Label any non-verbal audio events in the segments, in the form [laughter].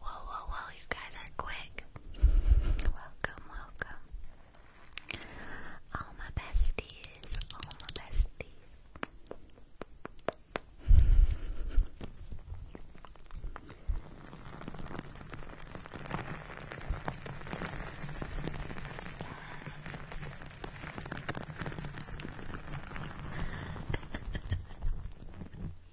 Whoa, whoa, whoa, you guys are quick. welcome, welcome. All my besties, all my besties. [laughs]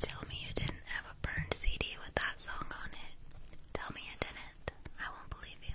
Tell me you didn't have a burned CD with that song on it. Tell me you didn't. I won't believe you.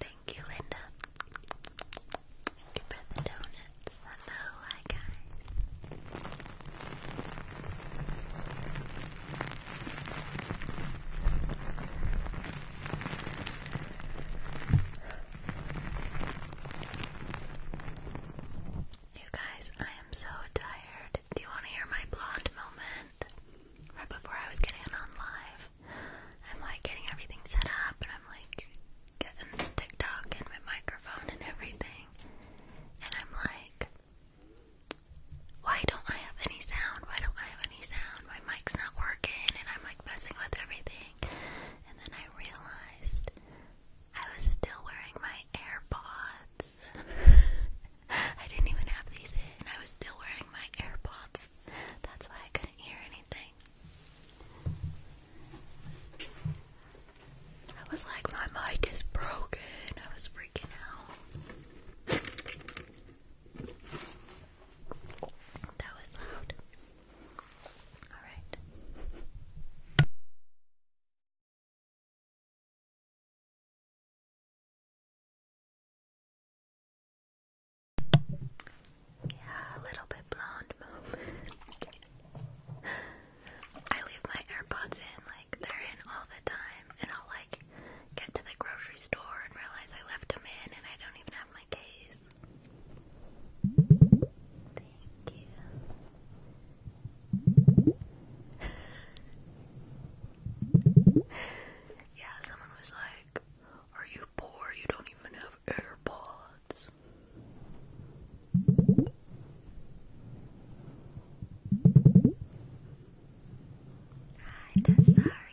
Thank you, Linda. Thank you for the donuts. Hello, guys. You guys, I am so tired. Do you want to hear my blonde moment? right before I was getting on live. I'm like getting everything set up and I'm like getting the TikTok and my microphone and everything. And I'm like, why don't I have any sound? Why don't I have any sound? My mic's not working and I'm like messing with everything. And then I realized I was still wearing my AirPods. [laughs] I didn't even have these in. I was still wearing my AirPods. That's why I couldn't hear anything. I was like, my mic is broken. I was freaking out. That was loud. Alright. Yeah, a little bit blonde I leave my AirPods in, like they're in all the time, and I'll like get to the grocery store and realize I left them in and I don't even have my case. Thank you. [laughs] Yeah, someone was like, Are you poor? You don't even have AirPods. Hi, Desaria.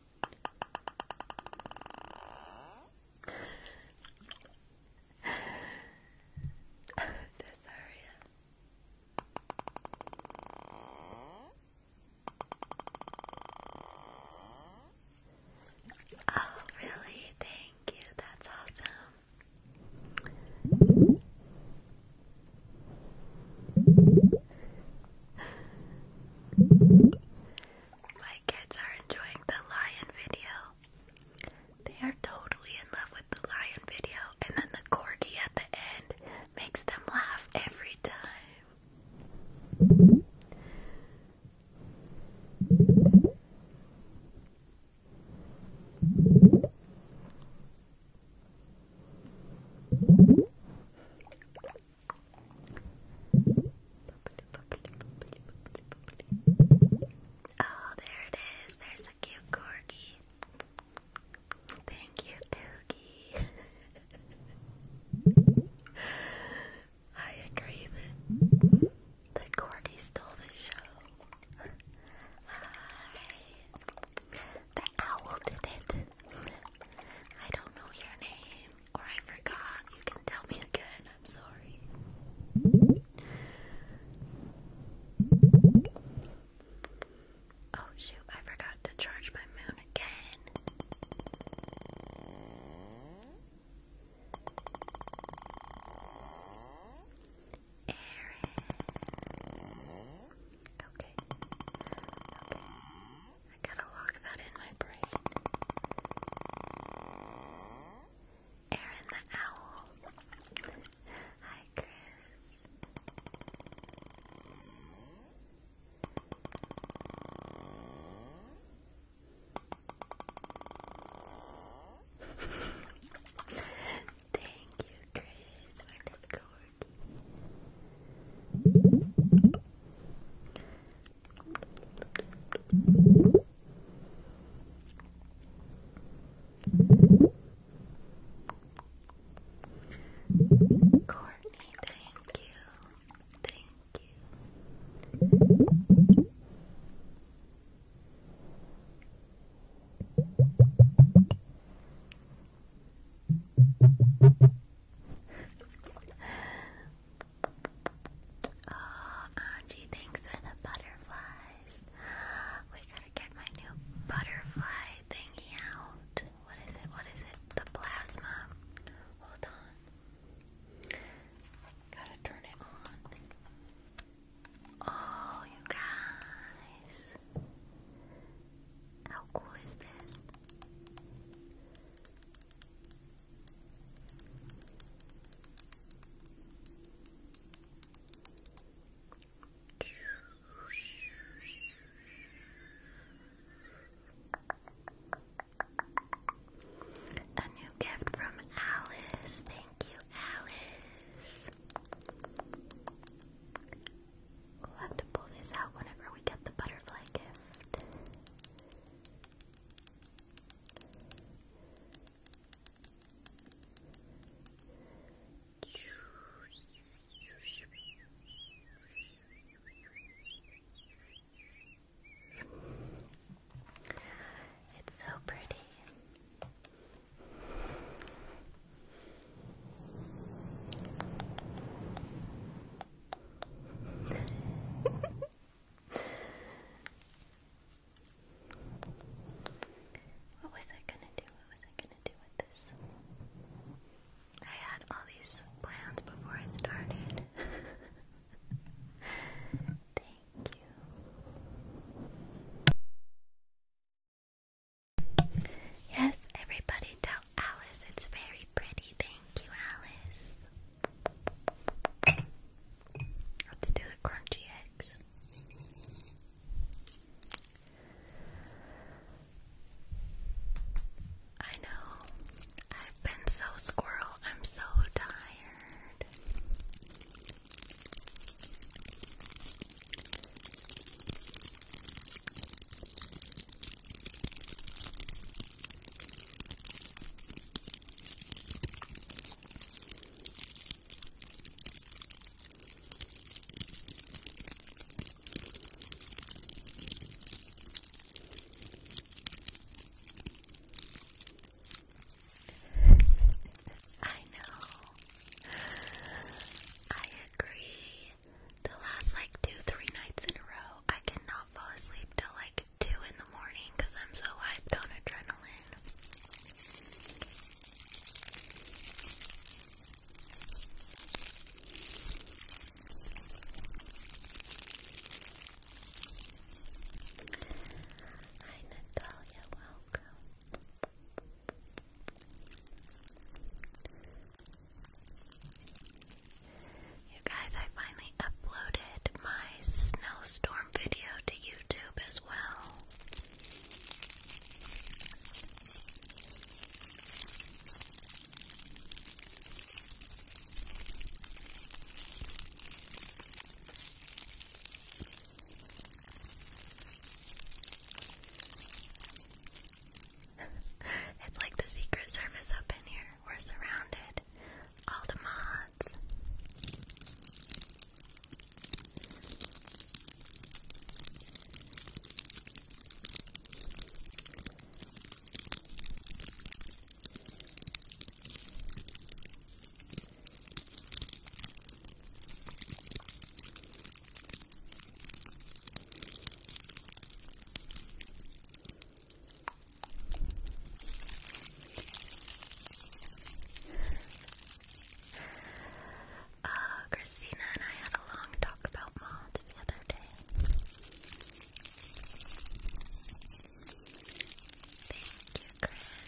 Cesaria. Oh, really? Thank you. That's awesome. My kids are enjoying the lion video. They are totally in love with the lion video, and then the corgi at the end makes them laugh every time. Oh, there it is. There's a cute corgi. Thank you, Oogie. [laughs] I agree the corgi stole the show. The owl did it. I don't know your name or I forgot, you can tell me again. I'm sorry. Oh shoot, I forgot to charge my moon again. Aaron. Okay. Okay. I gotta lock that in my brain. Aaron the Owl. Hi, Chris. Thank you, Chris, for that cord. Courtney, thank you. Thank you. Oh, Angie, thanks for the butterflies. We gotta get my new butterfly thingy out. What is it? What is it? The plasma. Hold on. Gotta turn it on. Oh, you guys. How cool is this? A new gift from Alice. Thank you, Alice. We'll have to pull this out whenever we get the butterfly gift. It's so pretty. It's what was I gonna do? What was I gonna do with this? I had all these plans before I started. [laughs] Thank you. Yes, everybody tell Alice, it's very pretty. Thank you, Alice. Let's do the crunchy eggs. I know. I've been so squirrel. I'm so tired. I know. I agree. The last like two, three nights in a row, I cannot fall asleep till like 2 in the morning because I'm so hyped on adrenaline. Hi, Natalia, welcome. You guys, I finally uploaded my snowstorm video to YouTube as well. [laughs] it's like the Secret Service up in here. We're surrounded all the mods. Uh, Christina and I had a long talk about moths the other day. Thank you, Chris.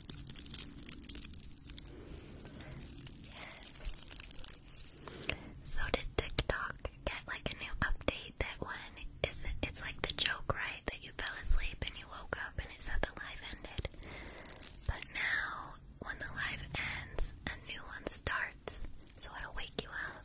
Yes. So did TikTok get like a new update that one isn't it's like the joke, right? That you fell asleep and you woke up and it said the life ended. But now when the life ends, a new one starts, so it'll wake you up.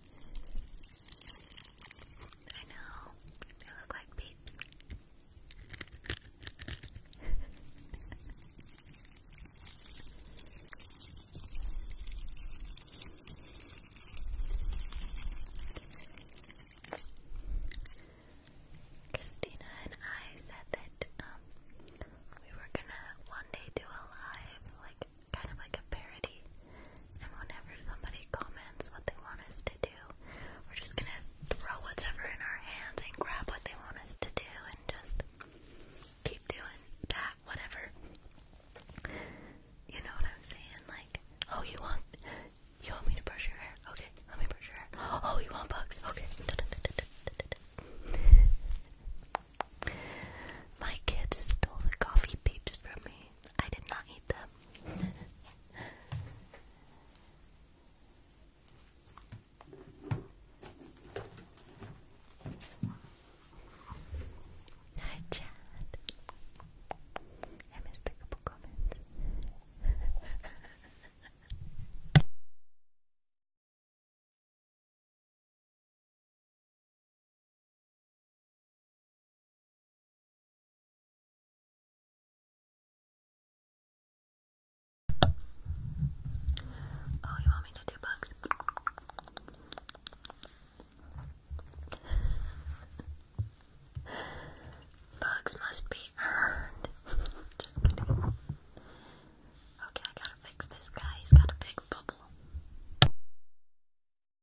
I know, they look like peeps. Christina and I said that um we were gonna one day do a live like kind of like a parody. And whenever somebody comments what they want us to do, we're just gonna throw whatever in our hands and grab what they want us to do and just keep doing that, whatever. You know what I'm saying? Like, oh, you want you want me to brush your hair? Okay, let me brush your hair. [gasps] Oh, you want bugs? Okay. [laughs] My kids stole the coffee peeps from me. I did not eat them. Hi, Chad. I missed comments. [laughs] Oh, you want me to do bugs? bugs must be earned. Okay, I gotta fix this guy. He's got a big bubble.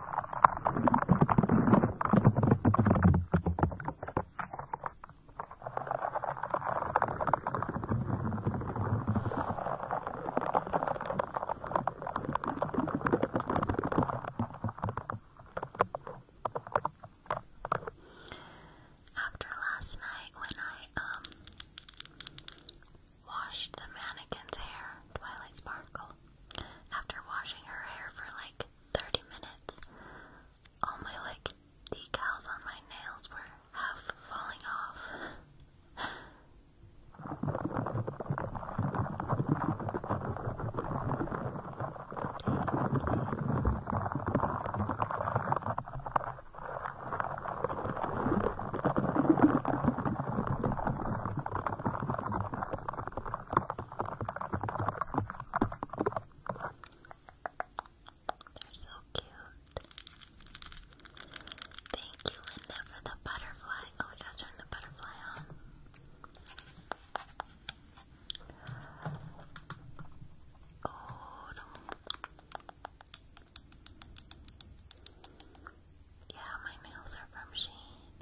After last night, when I, um, washed the mannequin's hair, Twilight Sparkle, after washing her hair for like 30 minutes, all my like decals on my nails were half falling off. They're so cute. Thank you, Linda, for the butterfly. Oh, we gotta turn the butterfly on. Oh, no. Yeah, my nails are from Sheen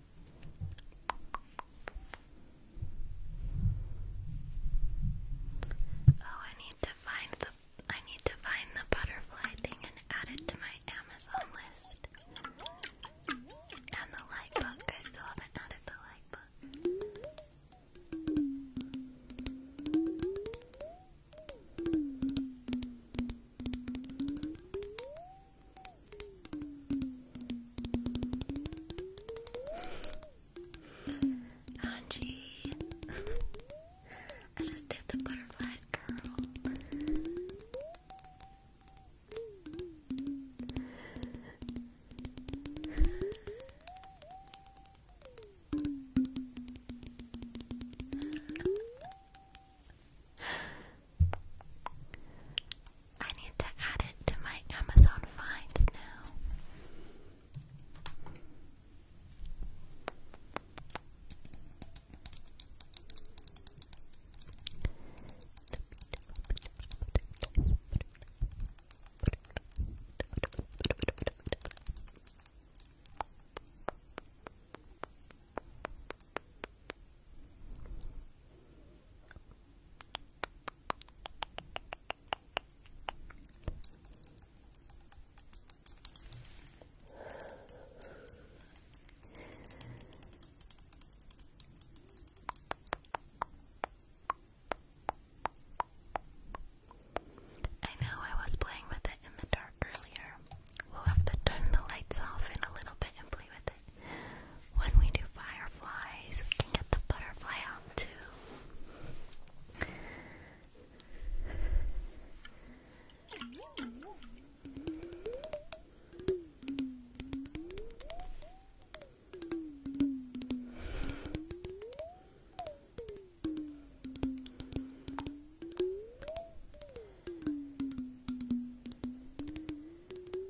Oh, I need to find the I need to find the butterfly thing and add it to my Amazon list. And the light book. I still haven't added the light book. Angie, I just did the butterflies curl. I need to add it to my Amazon finds now. I know I was playing with it in the dark earlier. We'll have to turn the lights off in a little bit and play with it when we do fireflies, we can get the butterfly out too.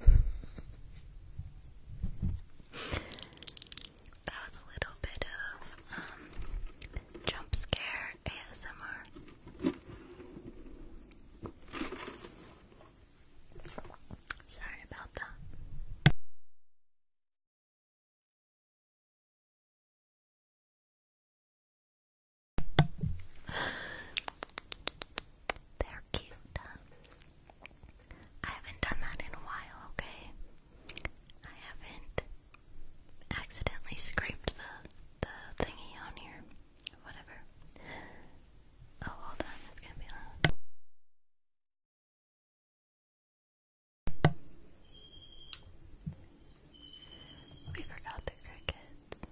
that was a little bit of um, jump scare ASMR. Sorry about that. They're cute. Huh? I haven't done that in a while, okay? I haven't accidentally scraped the, the thingy on here. Whatever. Oh, hold on, it's gonna be loud. We forgot the crickets.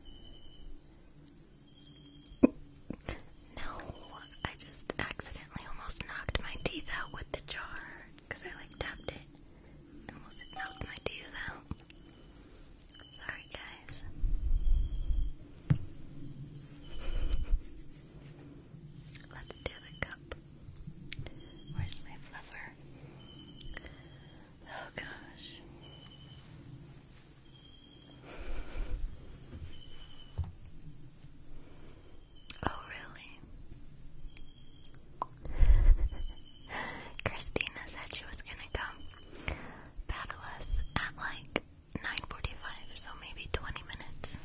No, I just accidentally almost knocked my teeth out with the jar because I like tapped it. I almost knocked my teeth out. Sorry, guys. Let's do the cup. Where's my fluffer? Oh gosh. Oh, really? Christina said she was gonna come battle us at like 9:45, so maybe 20 minutes.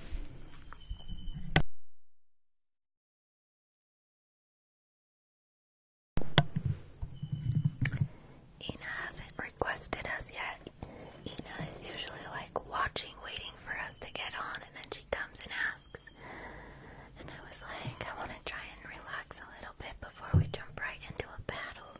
Ina hasn't requested us yet. Ina is usually like watching, waiting for us to get on, and then she comes and asks. And I was like, I want to try and relax a little bit before we jump right into a battle.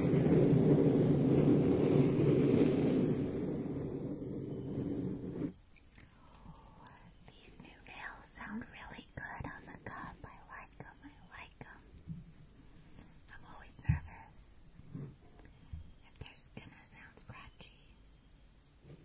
These new nails sound really good on the cup. I like them. I like them. I'm always nervous if there's gonna sound scratchy. All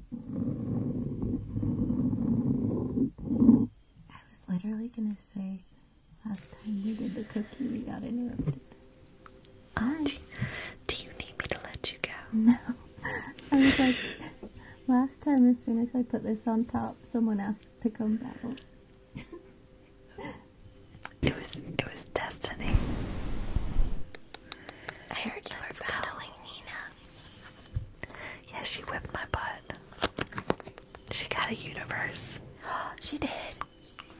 I was literally gonna say last time we did the cookie we got interrupted. I do you need me to let you go? [laughs] No. I was like last time as soon as I put this on top someone asked to come back. It was it was destiny. I heard you were battling Nina. Yeah, she whipped my butt. She got a universe. [gasps] she did.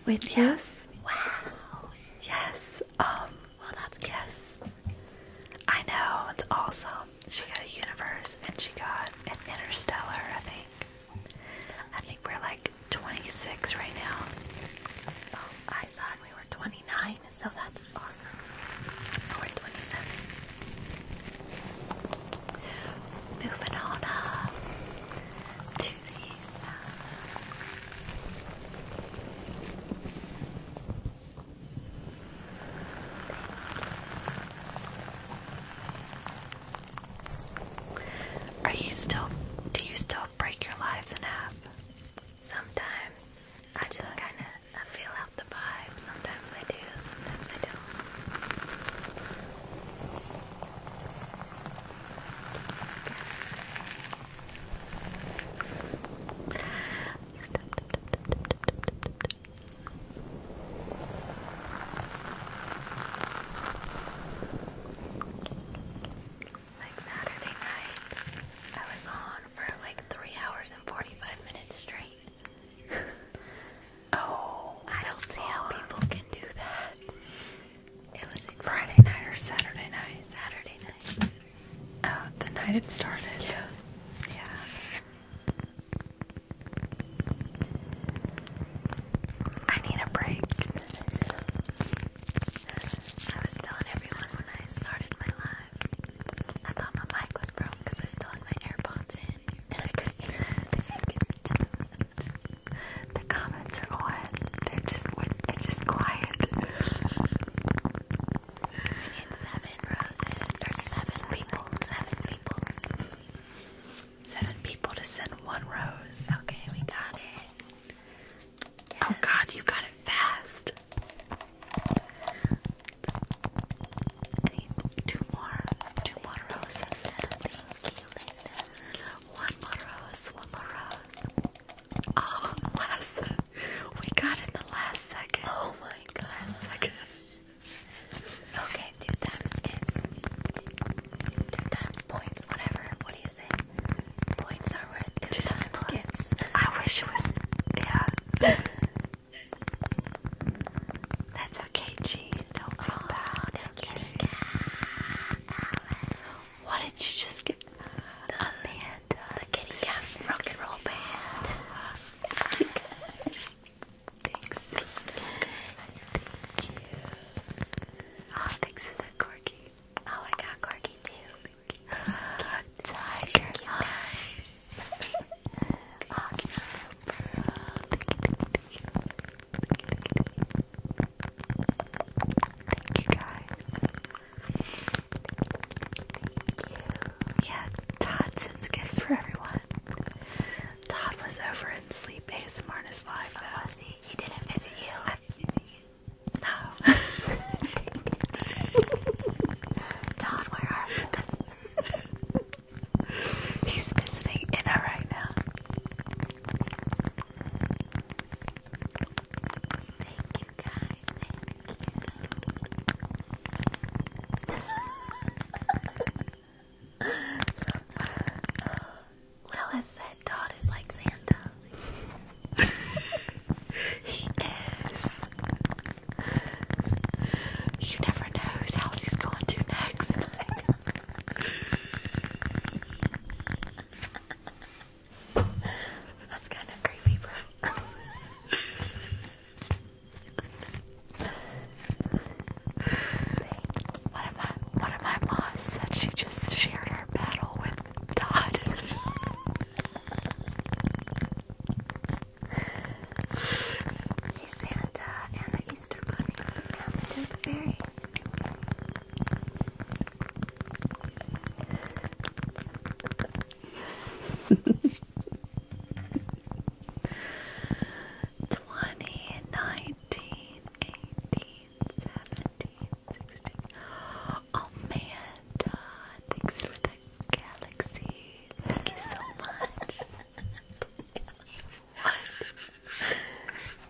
With yes. You? Wow. Yes. Um. Well, that's yes. I know it's awesome. She got a universe, and she got an interstellar. I think. I think we're like 26 right now. Oh, I thought we were 29 so that's awesome. Four twenty-seven. Moving on to these. Are you still do you still break your lives in half? Sometimes I just kind of I feel out the vibe. Sometimes I do, sometimes I don't. Like Saturday night, I was on for like three hours and forty-five minutes straight. [laughs] oh, I don't see how people can do that. It was Friday night or Saturday night. Saturday night. Oh, the night it started. Yeah. yeah. I need a break. I was telling everyone when I started my live I thought my mic was broken because I still had my AirPods in and I couldn't hear it. The comments are on. They're just it's just quiet. seven roses or seven people. Seven people. Seven people to send one rose. Okay, we got it. Oh god, you got it fast two more, two more roses. Thank you, Linda. One more rose, one more rose. Oh, last. We got in the last second. Oh my god. second. Okay, two times gifts. Two times points, whatever. What do you say? Points are worth two, times, times I wish was. Yeah. That's okay, Gene. Don't feel oh, What did you just get? The the kitty cat rock and roll band. [laughs] thanks. Oh, thanks for the corgi. Oh, I got corgi too. Thank you. [laughs] [laughs] Thank you guys. Thank you. Yeah, Todd sends gifts for everyone. Todd was over and Sleep ASMR in his live though. Oh, he? didn't visit you. no. [laughs] Todd, where are you? [laughs] [laughs] He's visiting Inna right now. Thank you guys, thank you. [laughs] so, uh, Lilith said Todd is like Santa. [laughs] he is you never know whose house he's going to next. [laughs] That's kind of creepy, bro. One of my one of my moms said she just shared her battle with Todd. [laughs] hey Santa and the Easter Bunny and the Tooth Twenty, nineteen, eighteen, seventeen, sixteen. Amanda, oh, thanks for the Galaxy, thank you so much. what?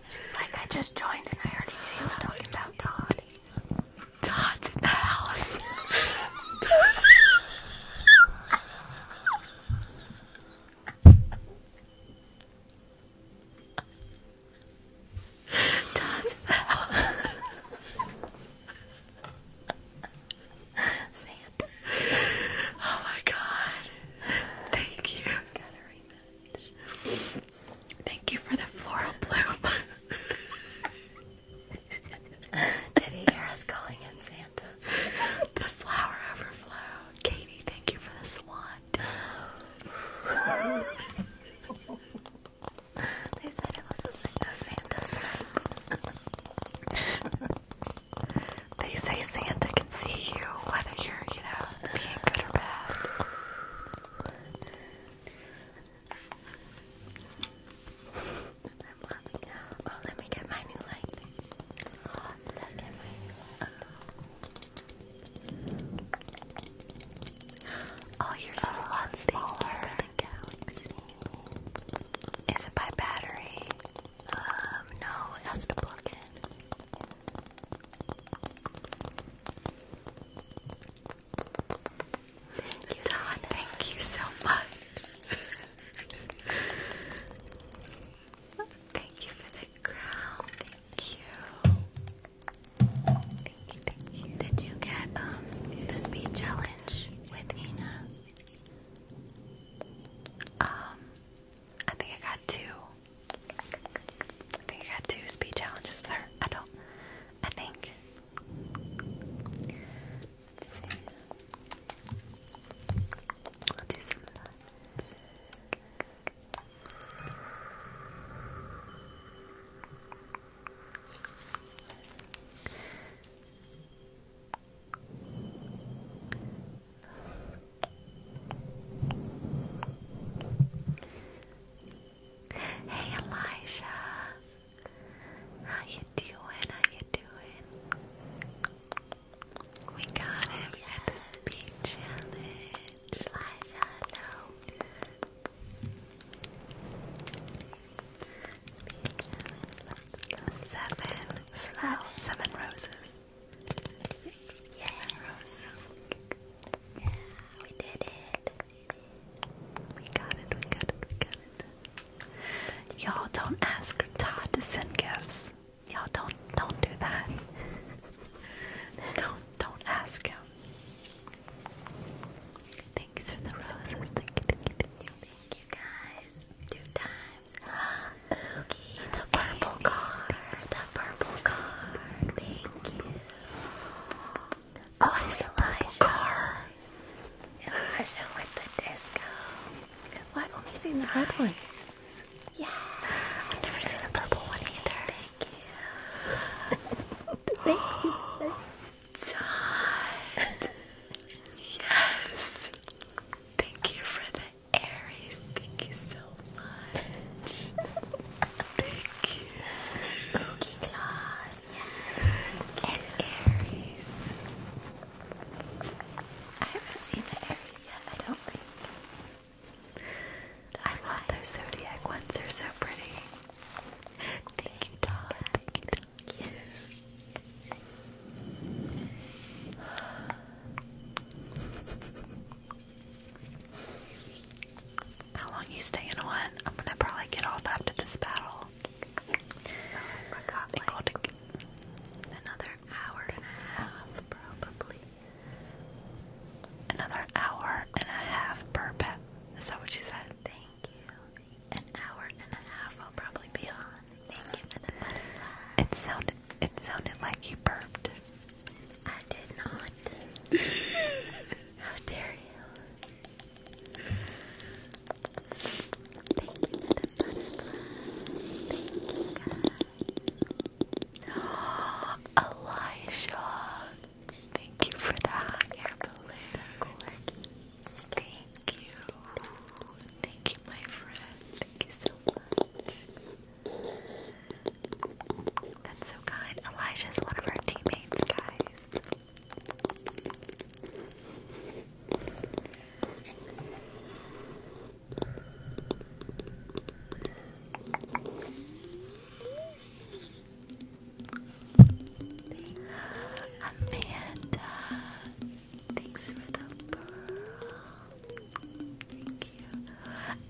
She's like, I just joined and I already knew you were talking about Todd. Todd's in the house. Todd's in the house. [laughs] Sand. Oh my god. Thank you. Thank you for the floral bloom. Did he hear us calling him Santa? The flower overflow. Katie, thank you for the swan. [laughs] they said it was a Santa, they say Santa can see you, whether you're, you know, being good or bad. Oh, let me get my new light. Oh, you're so oh, smaller. Is it by battery? Um, no, has to plug in. Thank you, Don. Thank you so much. thank you for the crown. Thank you. Did you get um the speed challenge with Ina? Um, I think I got two. I think I got two speed challenges I don't. I think. Hey Elijah, how you doing? How you doing? We got oh, him oh, yes. the beach challenge. Elijah, no. Seven flowers. Seven roses. Yeah, roses. Yeah, we did it. We got it, we got it, we got it. Y'all don't ask Todd to send gifts. Y'all don't don't do that. [laughs] don't don't ask him. Thanks for the roses. Thank you guys. Two times. Oogie, the purple card. The purple card. Thank you. Oh, it's a purple card. Elijah with the disco. I've only seen the red one. Yeah. I've never seen the purple one either. Thank you. Thank you. John. yes. Thank you for the Aries. Thank you so much. Thank you. Cookie claws, yes. And Aries. I haven't seen the Aries yet, I don't think. I love those zodiac ones, they're so pretty. Thank you, Todd. Thank you. How long you staying on? I'm gonna probably get off after this battle. I got like another hour and a half, probably. Another hour and a half per pet. Is that what you said? Thank you. An hour and a half I'll probably be on. It sounded it sounded like you burped. I did not. [laughs] How dare you? [gasps] Elijah. Thank you for that. You're Thank Thank you. Thank you, my friend. Thank you so much. That's so kind. Elijah's one of our teammates, guys. Amanda, Thanks for the pearl. Thank you.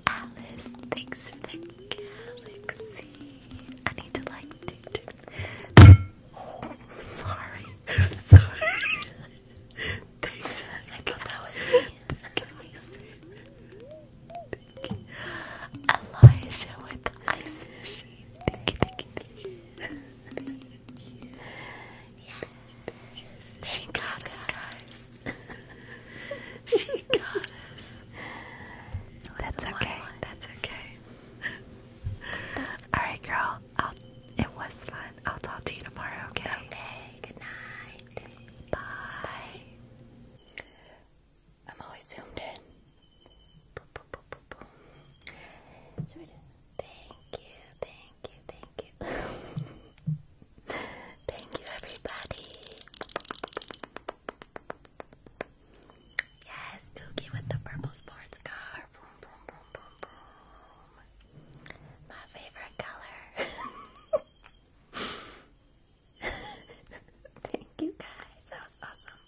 Alice, thanks for the I need to like do, Oh, sorry. [laughs] sorry. thanks. I thought that was me. Elijah with ice machine. Thank you, thank you, thank you. She got us, guys. [laughs] she got us. That's okay. That's okay. That's all right, girl. I'll, it was fun. I'll talk to you tomorrow. Okay. Okay. Good night. Bye. I'm always zoomed in. Thank you. Thank thank you, thank you. [laughs] thank you, everybody. Yes, Oogie with the purple sports car. Vroom, vroom, vroom, vroom, vroom. My favorite color. [laughs] Thank you guys. That was awesome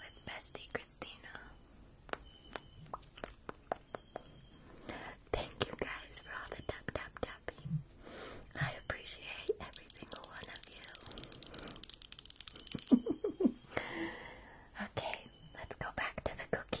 with bestie Christina. Thank you guys for all the tap tap tapping. I appreciate every single one of you. okay, let's go back to the cookie.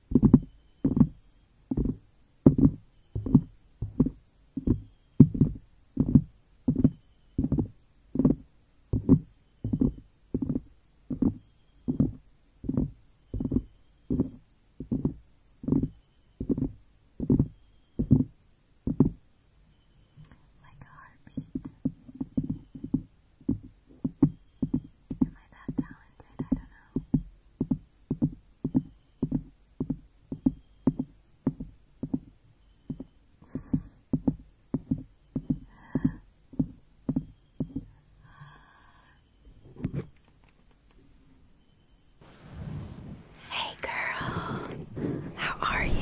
Like a heartbeat. Am I that talented? I don't know. Hey girl, how are you?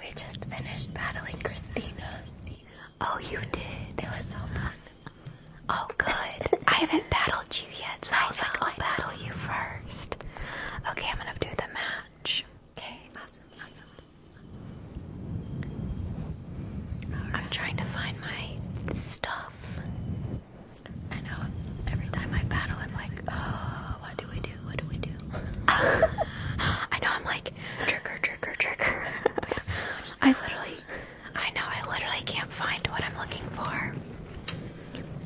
We just finished battling Christina. Oh, you did? That was so fun. Oh, good. I haven't battled you yet, so I, will battle you first. Okay, I'm gonna do the match. Okay, awesome, awesome. I'm trying to find my stuff. I know every time I battle, I'm like, oh, what do we do? What do we do? [laughs] [laughs] I know I'm like, trick or trigger. I have so much stuff. I literally I know, I literally can't find what I'm looking for.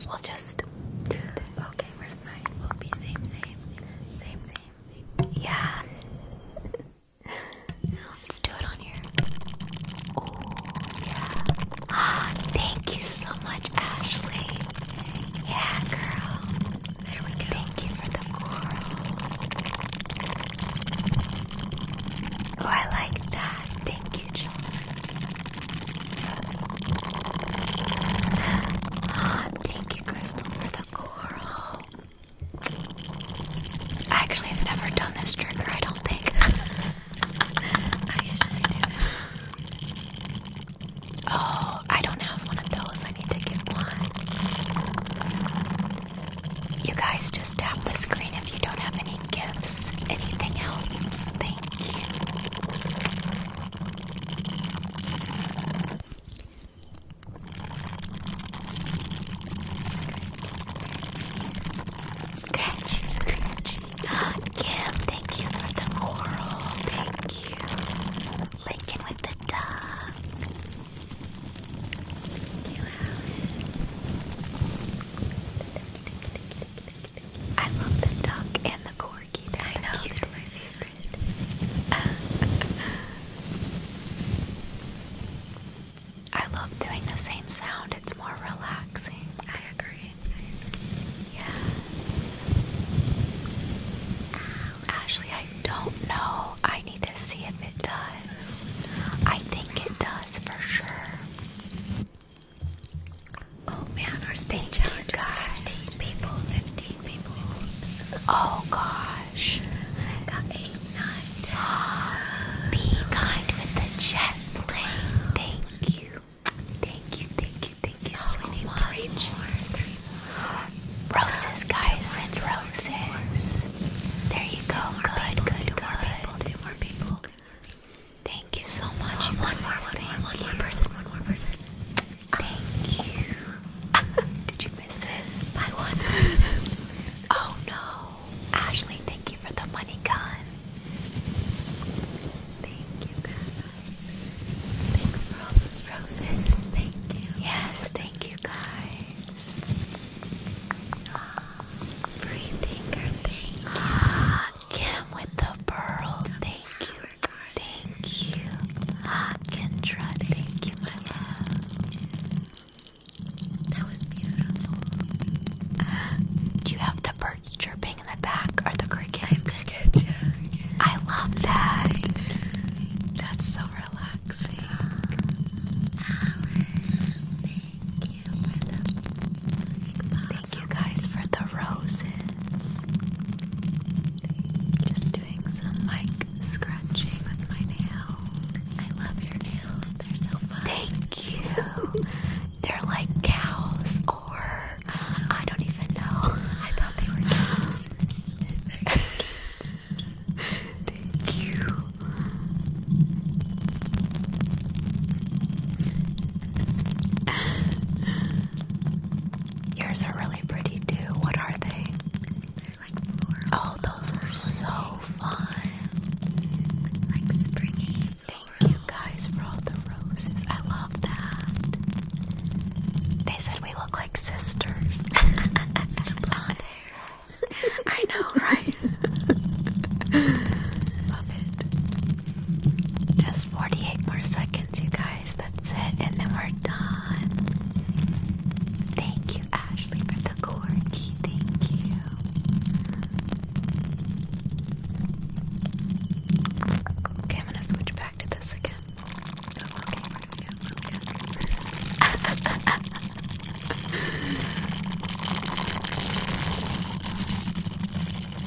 We'll just Okay, where's mine? We'll be same, same, same, same. Yeah. Let's do it on here. Oh, yeah. Ah, thank you so much, Ashley. Yeah, girl. There we go. Thank you for the coral. Oh, I like that. Thank Thank you, Crystal, for the coral. I actually have never done this trigger, I don't think. [laughs] I usually do Oh, I don't have one of those. I need to get one. You guys just tap the screen if you don't have any gifts. Anything else? Thank you. Scratchy, scratchy. Kim, thank you for the coral. Thank you. Lincoln with the dove. I love the duck and the corgi. they I my favorite. [laughs] I love doing the same sound. It's more relaxing. I agree. I Ashley, I don't know. I need to see if it does. I think it does for sure. Oh man, our spin challenge is 15 people, 15 people. Oh gosh. I got 8, 9, 10. be kind with the jet plane. Thank you. Thank you, thank you, thank you so we need much. Three more, three more. Roses, guys, and roses. There you go. Good, good, good. More people, two more people. Thank you so much. Oh, one more, one more, one more person, one more person. Thank you. [laughs] Did you miss it? By one person. oh no. Ashley, thank you for the money gun. Thank you guys. Thanks for all those roses. Thank you. Yes, thank you guys. Ah. Kim with the pearl. Thank you. Thank you. Kendra. Thank you, my love. That was beautiful. do you have the birds chirping in the back or the crickets? I crickets, yeah. I love that. That's so relaxing. Thank you guys for the roses. Just doing some mic scratching with my nails. I love your nails. They're so fun. Thank you. They're like cows or I don't even know. I thought they were cows. [laughs] Thank you. [sighs] Yours are really pretty too. What are they? They're like floral. Oh, those are so fun. Like springy. Thank you guys for all the roses. I love that. They said we look like sisters. [laughs] blonde hair. I know, right? Just 48 more seconds, you guys. That's it. And then we're done. Thank you, Ashley, for the corky. Thank you. Okay, I'm gonna switch back to this again. Okay, okay, okay with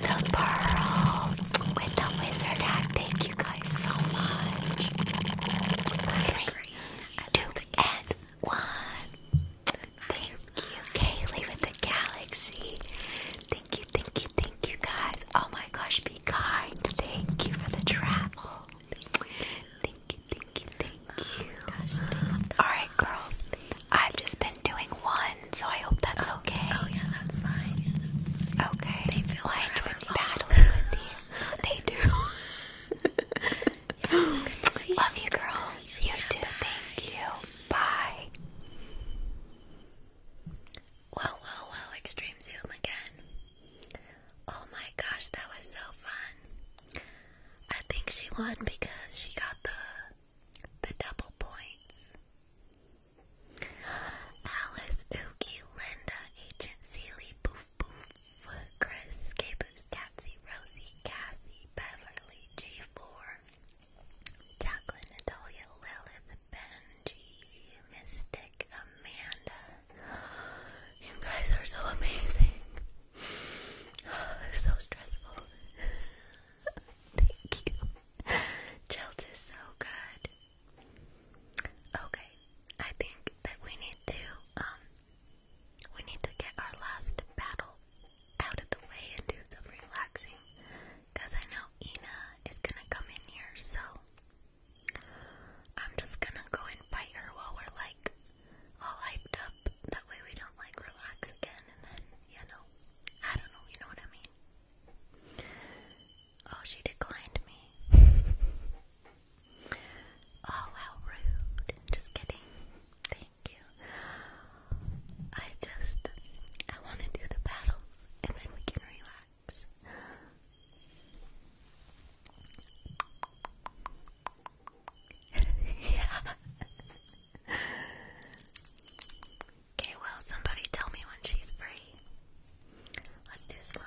the pearl, with the wizard hat. Thank you guys so much. Three, two, and one. Thank you, Kaylee with the galaxy. Thank you, thank you, thank you, guys. Oh my gosh, be kind. Thank you for the travel. Thank you, thank you, thank you. Oh Alright, girls. I've just been doing one, so I hope that's oh, okay. Oh, yeah, that's fine. Okay. They feel like I'm battling with you. They do. [laughs] Love you, girl. You too. Thank you. Bye. Well, well, well, Extreme Zoom again. Oh my gosh, that was so fun. I think she won because she got the the double points. Alice, Oogie, Linda, Agent Seely, Boof Boof, Chris, Caboose, Catsy, Rosie, Cassie, Beverly, G4, Jacqueline, Natalia, Lilith, Benji, Mystic, Amanda. You guys are so amazing. [sighs] so stressful. [laughs] Thank you. Chelt is so good. Okay, I think that we need to um, we need to get our last battle out of the way and do some relaxing I know Ina is gonna come in here, so I'm just gonna go and bite her while we're like all hyped up. That way we don't like relax again and then, you know, I don't know, you know what I mean? Oh, she declined me. [laughs] Oh, how rude. Just kidding. I just I want to do the battles and then we can relax. [laughs] yeah. Okay, well, somebody tell me when she's free. Let's do slime.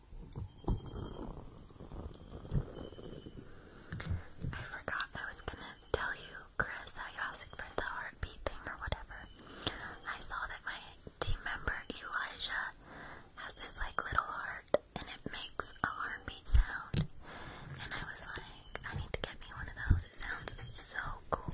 I forgot I was gonna tell you, Chris, how you asked for the heartbeat thing or whatever. I saw that my team member Elijah has this like little heart and it makes a heartbeat sound. And I was like, I need to get me one of those. It sounds so cool.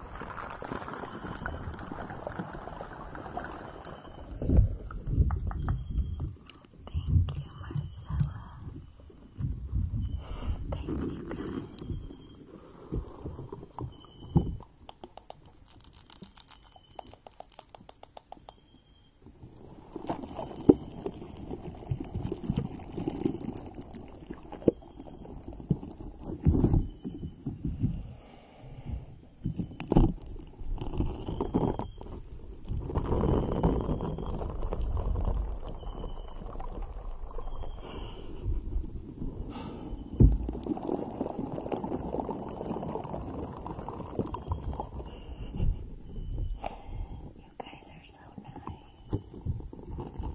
Thank you, Marcella. Thank you, guys. You guys are so nice.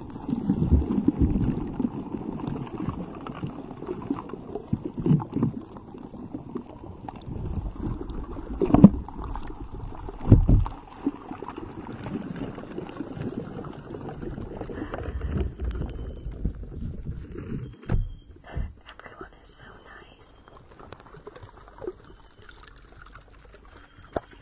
Everyone is so nice.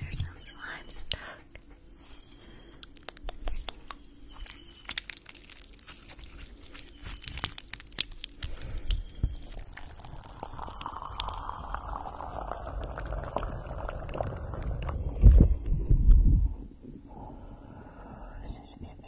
There's some slime stuck.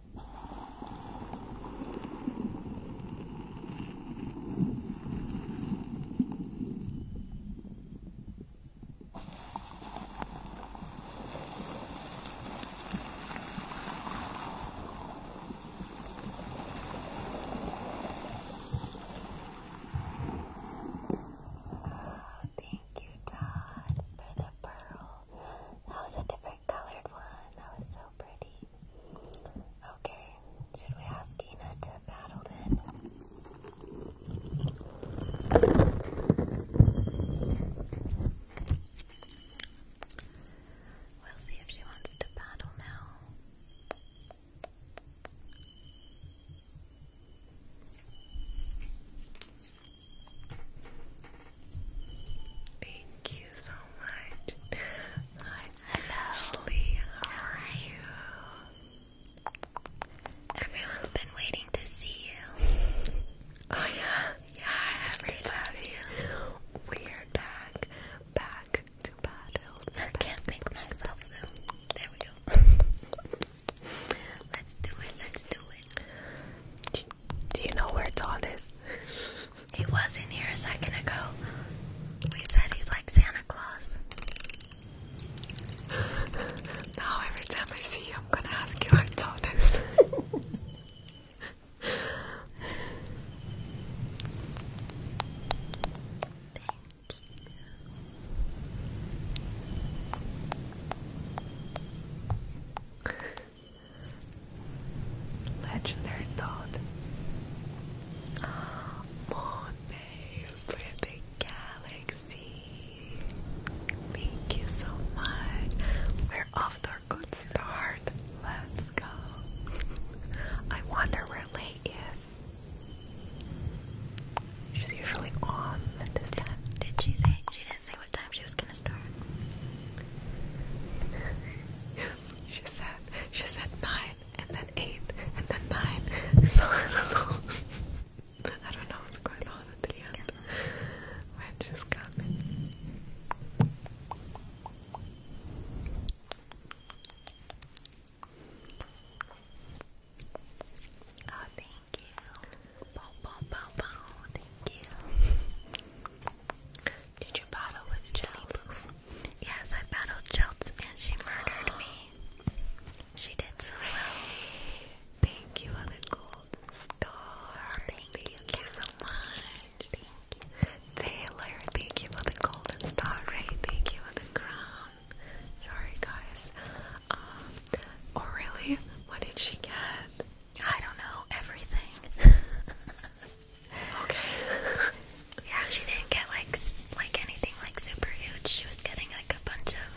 Thank you, Todd, for the pearl. That was a different colored one. That was so pretty. Okay, should we ask Eina to battle then? We'll see if she wants to battle now. Thank you so much. Hi, Ashley. How are you? Everyone's been waiting to see you. Oh yeah, yeah, everybody. We're back, back to battle. I can't think myself so. There we go. [laughs] let's do it. Let's do it. Do you know where Todd is? He was in here a second ago. We said he's like Santa Claus. Now every time I see you, I'm gonna ask you how it's all this. Thank [laughs] you. Legendary thought. Monet for galaxy. Thank you so much. We're off to a good start. Let's go. I wonder where Lay is. She's usually on Did she say? She didn't say what time she was gonna start. [laughs] She said, she said nine, and then eight, and then nine. [laughs] So I don't know. [laughs] I don't know what's going on at the end. When she's coming. Oh, thank you. Bow, bow, bow, bow. Thank you. [laughs] Did you battle with Jelts? Yes, I battled Jelts and she murdered me. She did so well. Thank you for the golden star. Thank, you. so much. Taylor, thank you for the golden star. Ray, thank you for the crown. Sorry guys. Um really? What did she get? I don't know, everything. [laughs] Okay. [laughs] yeah, she didn't get like like anything like super huge. She was getting like a bunch of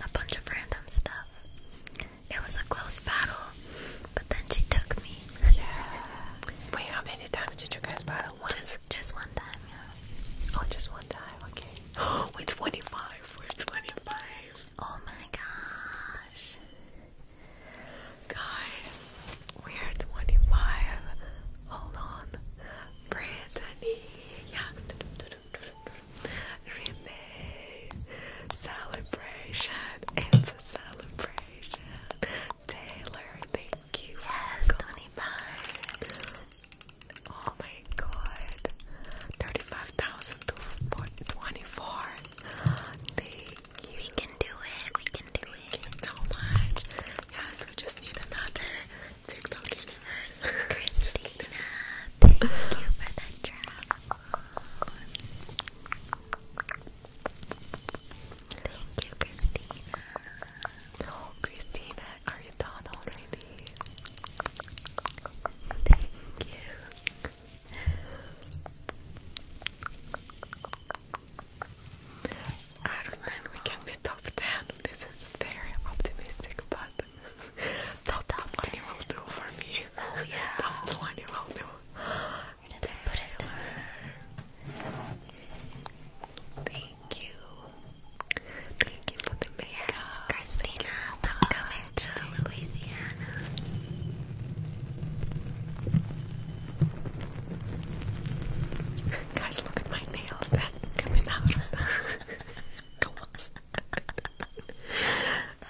a bunch of random stuff. It was a close battle, but then she took me. Yeah. Wait, how many times did you guys battle? Once? Just just one time. Oh, just one time. Okay. [gasps] we're 25. We're 25. Oh my gosh. Guys, we are 25. Hold on. Brittany, Renee, celebration. It's a celebration. Taylor, thank you. Yes, 25. Oh my god. 35,000 to we can do it. We can do it. Thank you so much. Yes, we just need another TikTok universe. Christina, thank you for the drop. Thank you, Christina. Oh, Christina, are you done already? Thank you. I don't know we can be top 10. This is very optimistic, but [laughs] top, top 20 will do for me. [laughs] Oh, yeah. Top will do. Thank you. Thank you for the makeup. Yes, Christina, welcome to Louisiana. Guys, look at my nails that coming out of gloves. [laughs]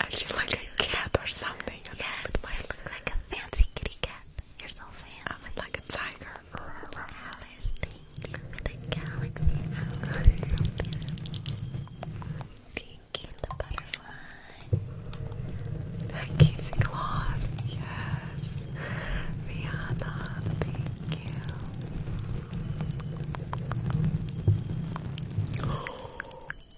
I feel like a cat or something. You yes, like a fancy kitty cat. You're so fancy. I look like a tiger. Alice, thank you the galaxy. Oh, the butterfly. That Casey cloth, yes. Rihanna, thank you. [gasps]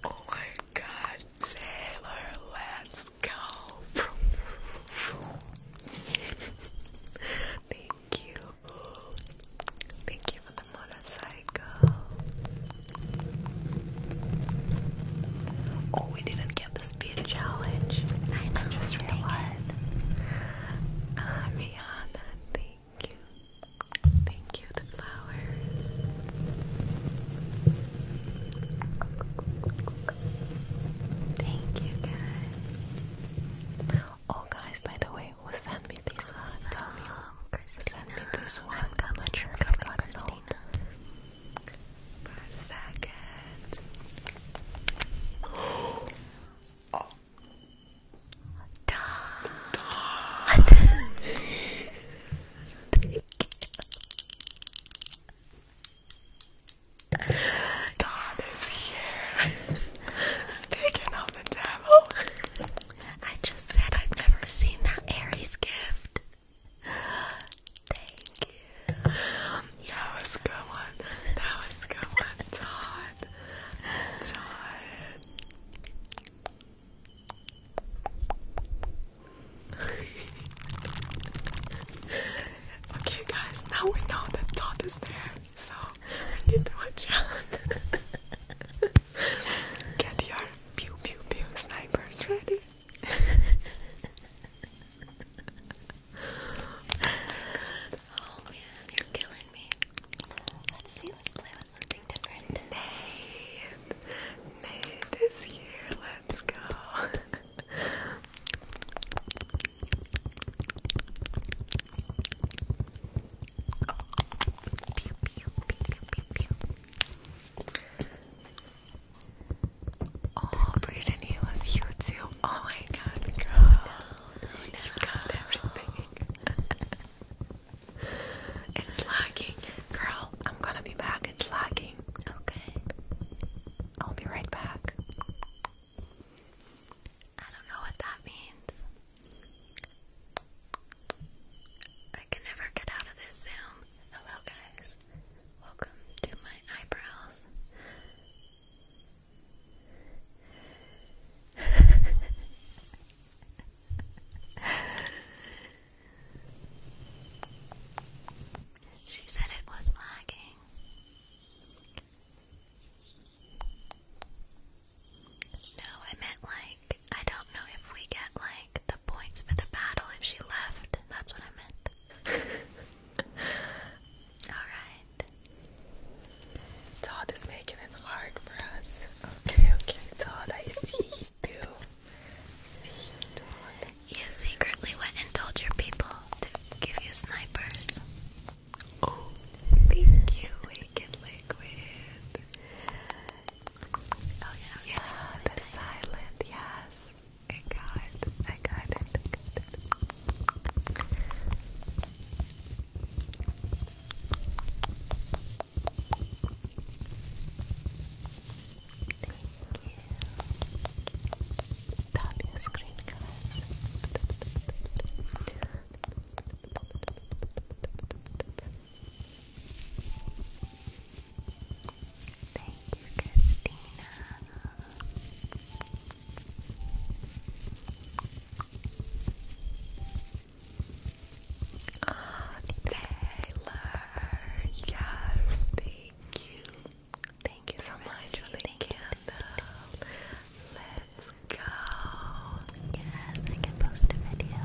Oh my god, Taylor, let's go. [laughs] thank you. Thank you for the motorcycle. Oh, we didn't this be a challenge? I, just realized. Ah, Rihanna, thank you. Thank you, the flowers. Thank you, guys. Oh, guys, by the way, who sent me this one? Send me this one. am gonna sure I got it Five seconds. Oh. Done. Done. Thank is here. Speaking of the devil, I just said I've never seen that Aries gift. Thank you. That was good one. That was good one, Todd. Todd. okay, guys, now we know that dot is there, so we need to watch out. Get your pew pew pew snipers ready oh yeah, you're killing me. Let's see, let's play something different. Nate, Nate is here. Let's go. Oh, Brayden, he was you too. Oh my god, girl. You got everything. [laughs] it's lagging. Girl, I'm gonna be back. It's lagging. Okay. I'll be right back. I don't know what that means. I can never get out of this Zoom. Hello, guys. Welcome to my eyebrows. [laughs] she said it was lagging. No, I meant like, I don't know if we get like the points for the battle if she left. That's what I meant. Alright. It's all making it hard for us. Okay, okay. It's I see you do. See you do. You secretly went and told your people to give you snipers. Oh, thank you, Wicked Liquid. Oh yeah, yeah, the silent, yes. I got it. I got it. I Thank you. screen, guys. Thank you, Christina. Taylor, yes, thank you. Thank you so much for candle. Let's go. Yes, I can post a video.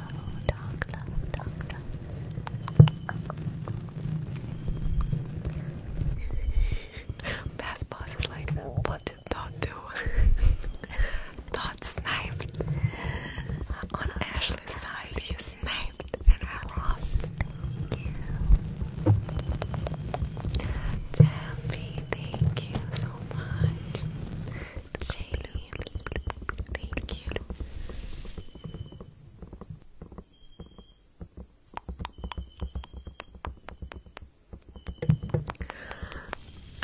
Past [laughs] boss is like, what did Dot do? Dot [laughs] sniped. On Ashley's side, he sniped and I lost. Taffy, thank you so much. thank you.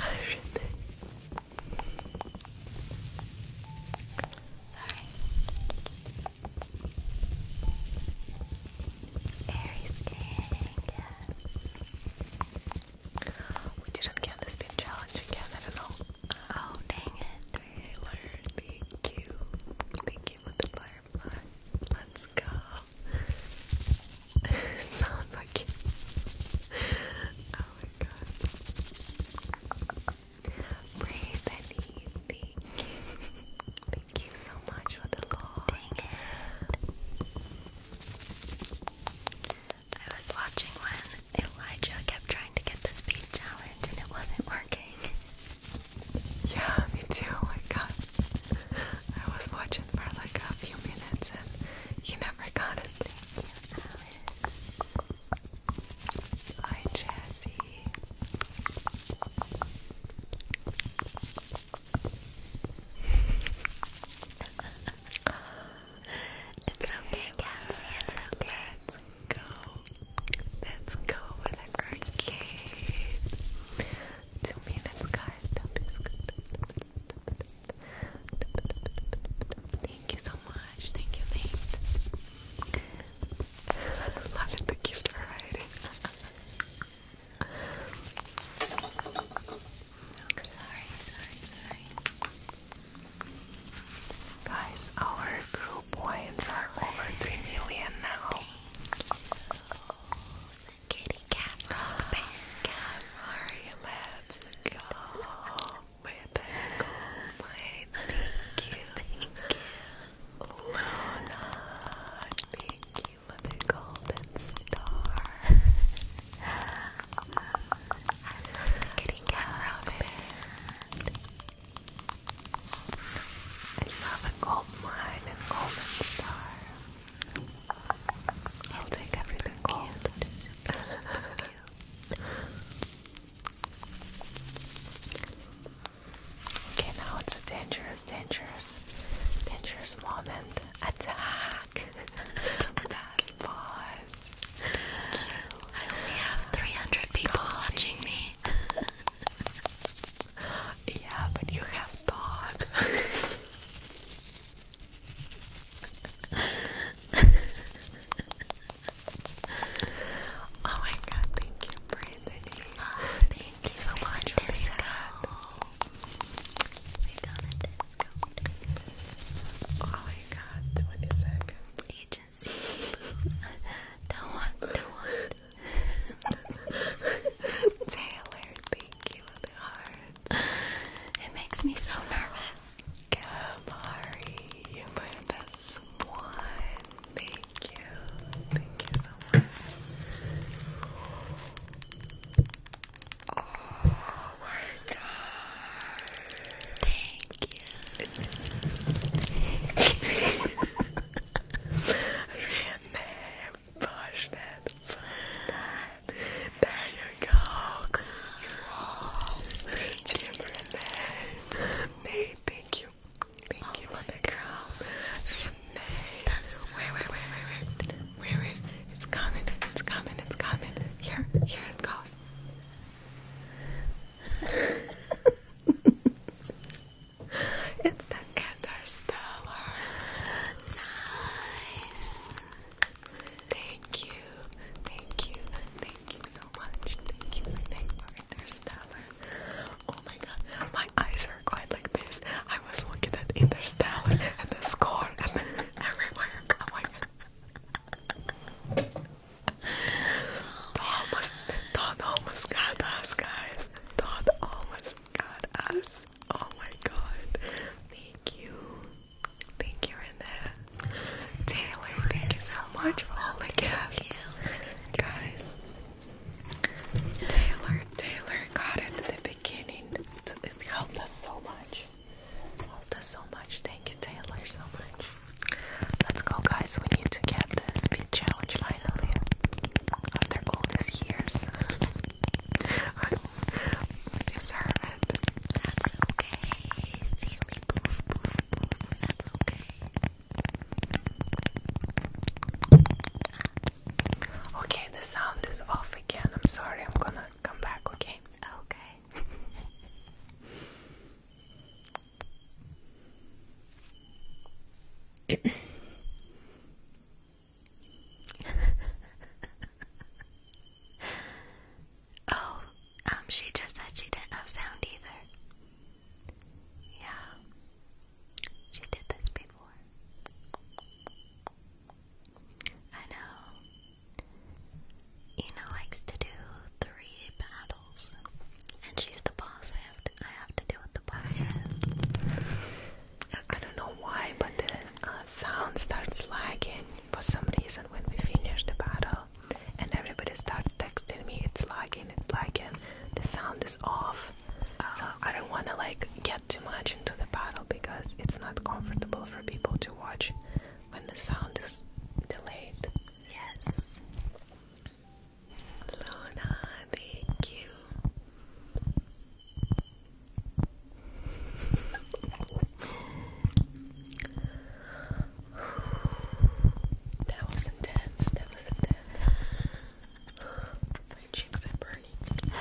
Everything. Sorry. Very scaring, We didn't get this big challenge again, I don't know. Oh, dang it. Taylor, thank you. Thank you for the fire Let's go. [laughs] Sounds like Oh my god. Pray, Thank you. so much for the Lord. I was watching when Elijah kept trying to get the speed challenge and it wasn't working. Yeah, me too. Oh my I was watching for like a few minutes and you never got it. Hi, Jazzy. [laughs] it's okay, Cassie. It's okay. Let's go with arcade. Two minutes, guys. Thank you so much. Thank you, thanks. Loving the gift variety. sorry, sorry, sorry. Guys, our group wines are over 3 million now kitty cat rock band. Alright, let's with it. Thank you. Luna. Thank you for golden star. kitty cat rock I love a gold mine and golden star. I'll take everything gold. Cute. [laughs] cute. Okay, now it's dangerous, dangerous, dangerous moment. Attack! That's [laughs] pause. I only have 300 people watching me. [laughs] Yeah, but you have thought. [laughs] oh my god, thank you, Brittany. Ah, thank you so much for this. We're gonna Oh my god, 20 seconds. Agency. [laughs] don't want, do [laughs] Taylor, thank you It makes me so nervous. Kamari, you put Thank you. Thank you so much. Oh my god. Thank you. [laughs] [laughs] in Push that. There you go. Timber in thank you. Thank you, my girl. Renee. wait, wait, wait, wait, wait. Wait, wait. It's coming. It's coming. It's coming. Here, here it goes. [laughs] it's the Interstellar. Nice. Thank you, thank you, thank you so much. Thank you for Oh my god, my eyes are quite like this. I was looking at Interstellar and the score and everywhere. Oh almost, almost got us, guys. almost got us. Oh my god. Thank you. Thank you in there. Taylor, thank you so much for all the Guys. Taylor, Taylor got it at the beginning. It helped us so much. Helped us so much. Thank you, Taylor, so much. Let's go guys, we need to get this speed challenge finally of their oldest years. yes, Herman. That's okay. Silly poof, poof, That's okay. Okay, the sound is off again. I'm sorry. I'm gonna come back. Okay. Okay. [laughs] [laughs] oh, um, she just said she didn't have sound either. Yeah, she did this before. I know. Ina likes to do three battles, and she's the boss, I have to deal with the buses. I don't know why, but the uh, sound starts lagging for some reason when we finish the battle, and everybody starts texting me, "It's lagging, it's lagging." The sound is off, oh, so I don't want to like get too much into the battle because it's not comfortable for people to watch when the sound is delayed. Yes. Lorna, thank you. that was intense. That was intense. My cheeks are burning.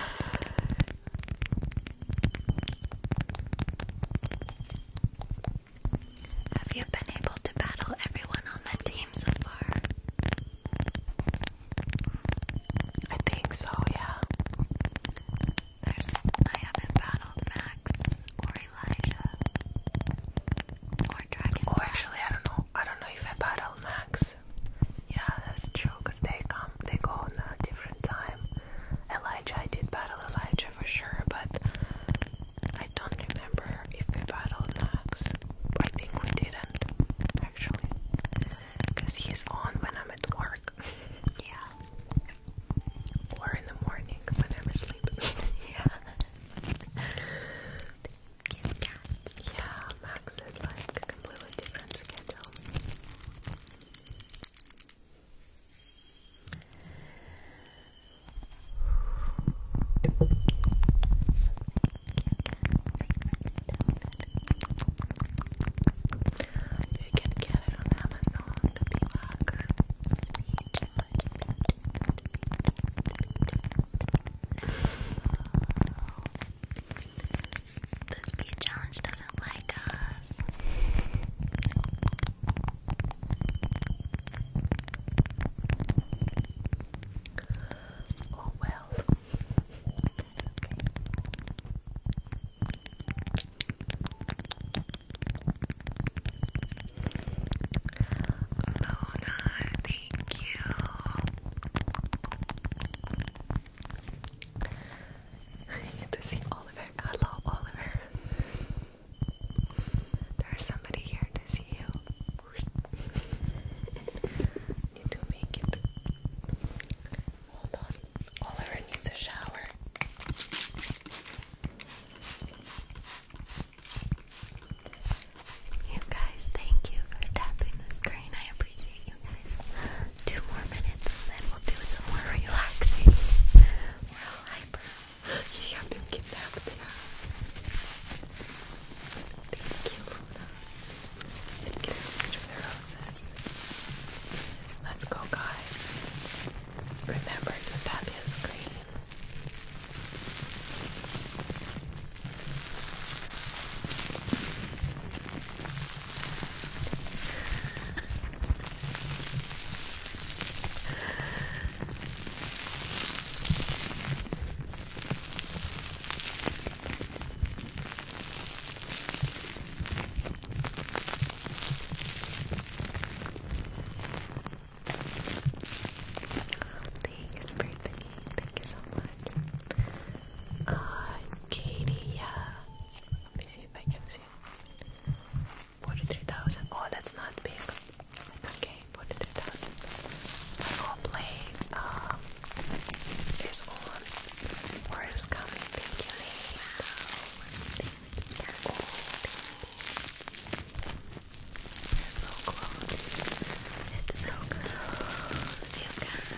Have you been able to battle everyone on the team so far? I think so, yeah. There's I haven't battled Max or Elijah or Dragon. Oh, actually, I don't know. I don't know if I battled Max. Yeah, that's true. they come, they go on a different time. Elijah, I did battle Elijah for sure, but I don't remember if we battled Max. I think we did actually, because he's on when I'm at work. [laughs] yeah. Or in the morning when I'm asleep. [laughs] yeah. Kit Kat. Yeah, Max is like a different schedule. You can get it on Amazon, the speed challenge doesn't like us. Oh well. Luna, thank you. to see Oliver. Hello, Oliver. There's somebody here to see you. Need to make it. Hold on. Oliver needs a shower. You guys, thank you for tapping the screen. I appreciate you guys. Two more minutes and then we'll do some more relaxing. We're all hyper. You have them kidnapped. Thank you, Let's go, guys. Remember to tap your screen. Thanks, Brittany. Thank you so much. Uh, Katie, yeah. Let me see if I can see. 43,000. Oh, that's not big. okay. 43,000. My goal uh, um, is all one. coming. Thank you, Nate. Thank you. You're so close. It's so close, you guys.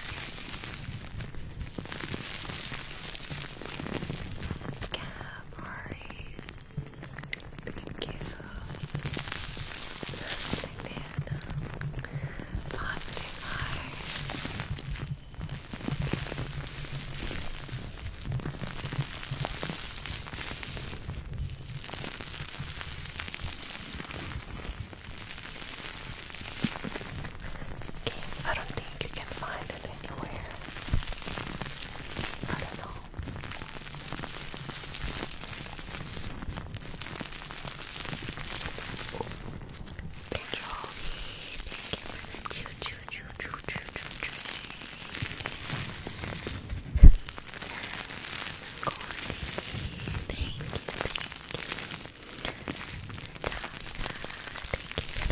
Camry. Thank you. I don't think you can find it anywhere. I don't know. Control. Thank you for the choo choo choo choo choo choo choo. Cordy. Thank you, thank you. Tasha, thank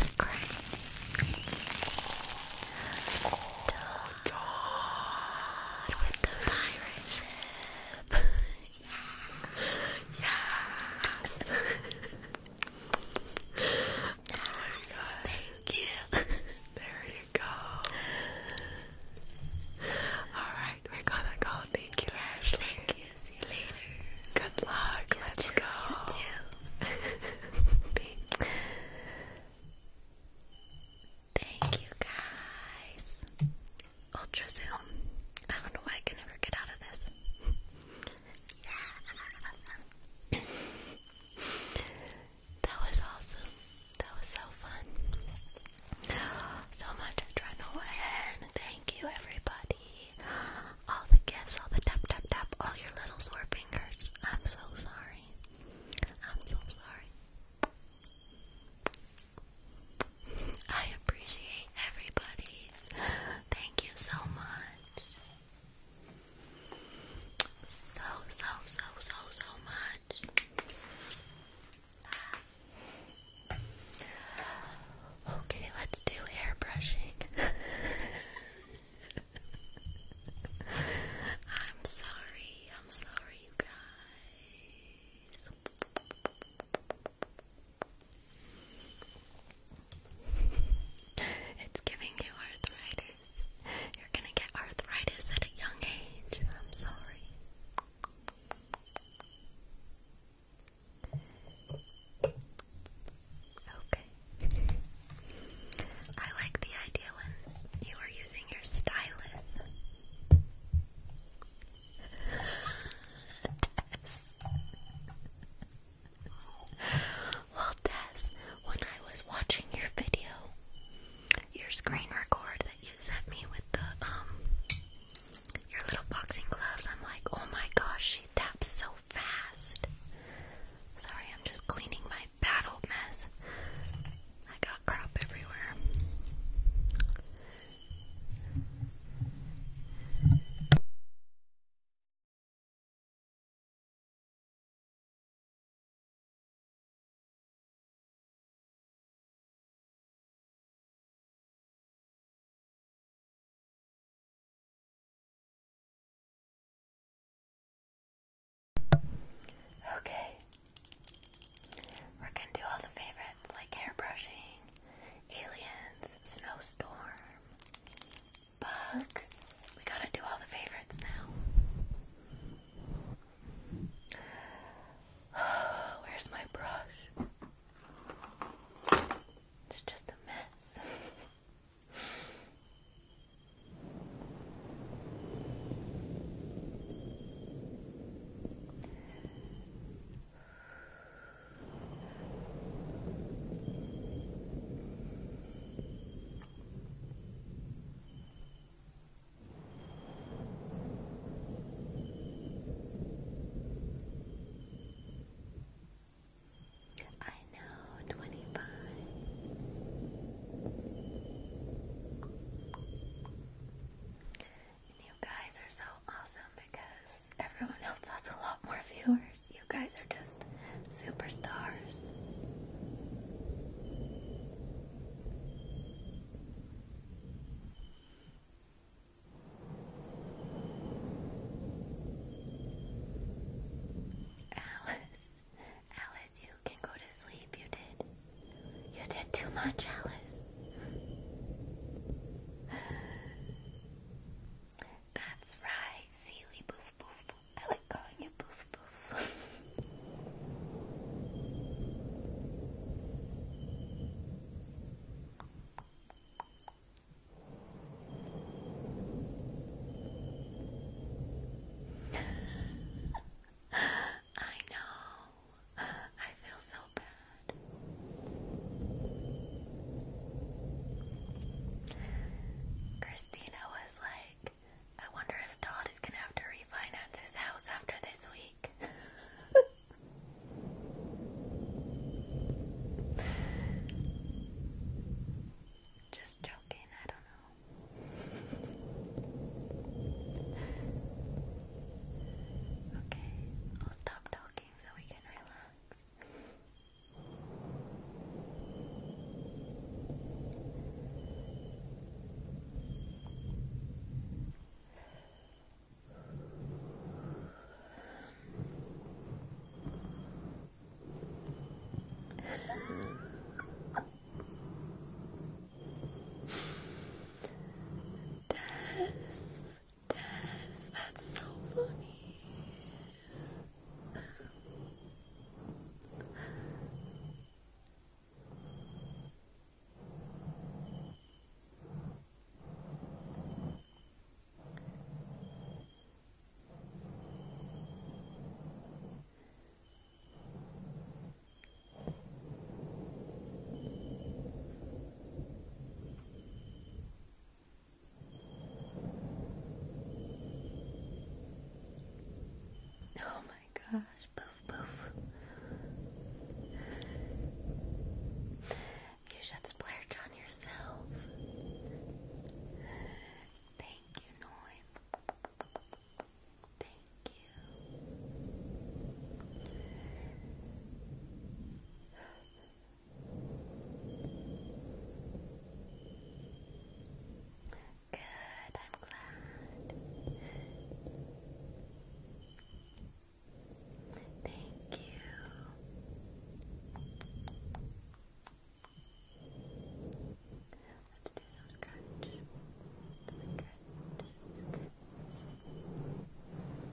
you for the crane. Todd with the pirate ship. Yes. oh my god. Thank you. [laughs] There you go. Alright, we're gonna go. Thank you, Ashley. See you later. Good luck. Let's too, go. You [laughs] Thank you guys ultra zoom. I don't know why I can never get out of this. that was awesome. That was so fun. So much adrenaline. Thank you, everybody. All the gifts, all the tap, tap, tap, all your little sore fingers. I'm so sorry. I'm so sorry. I appreciate everybody. Thank you so much. So, so, so, so, so much. Okay, let's do hair brushing. [laughs] I'm sorry, I'm sorry, guys it's giving you arthritis. You're gonna get arthritis at a young age. I'm sorry. Okay. I like the idea when you are using your stylus well, Tess, when I was watching your video, your screen record that you sent me with the um your little boxing gloves, I'm like, oh my gosh, she taps so fast. Sorry, I'm just cleaning my battle mess. I got crap everywhere. Okay. We're going to do all the favorites favorites like hairbrushing, aliens, snowstorm, bugs. We gotta do all the favorites now. [sighs] where's my brush? It's just a mess. I know twenty five. You guys are so awesome, because everyone else has a lot more viewers. You guys are just superstars. Alice, Alice, you can go to sleep. You did. You did too much, Alice. That's right, Sealy I like calling you Boof Boof. [laughs] I know. I feel so Christina was like, I wonder if Todd is gonna have to refinance his house after this week. [laughs] Just joking, I don't know. Okay, I'll stop talking so we can relax. Tess, Des, that's so funny. Oh my gosh, poof poof. You should splurge on yourself. Thank you, Noim. Thank you. Good, I'm glad. Thank you. Let's do some scratch. Scratch. Scratch.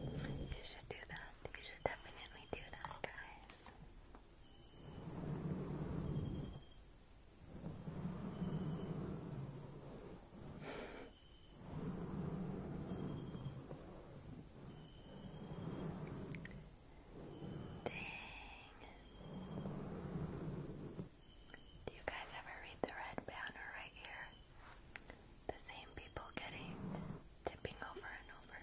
You should do that. You should definitely do that, guys. Dang. Do you guys ever read the red banner right here? The same people getting tipping over and over.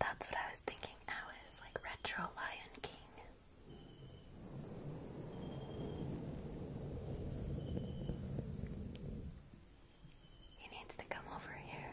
That's what I was thinking, Alice, like retro Lion King. He needs to come over here.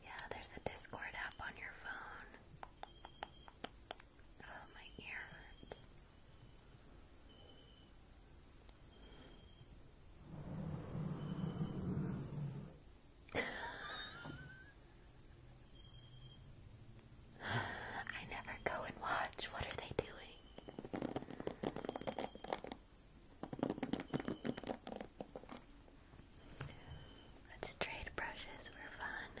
Yeah, there's a Discord app on your phone. Oh, my ear I never go and watch. What are they doing? Let's trade brushes for fun.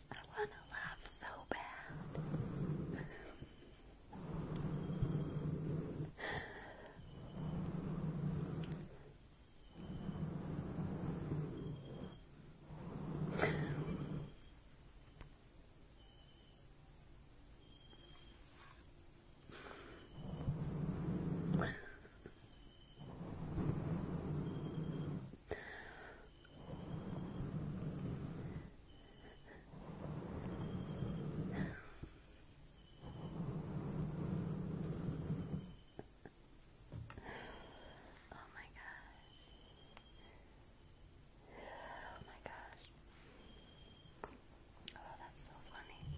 I want to laugh so bad. Oh my god! Oh my gosh. Oh, that's so funny.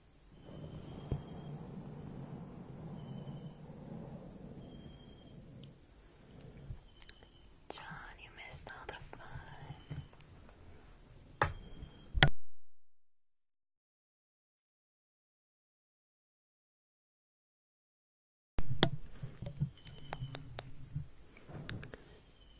John, you missed all the fun.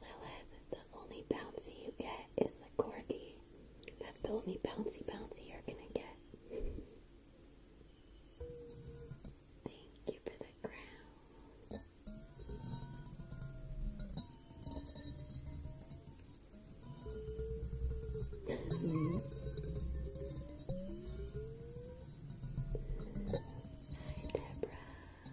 Lilith, the only bouncy you get is the corgi. That's the only bouncy bouncy you're gonna get. Thank you for the crown. [laughs] Hi, Deborah.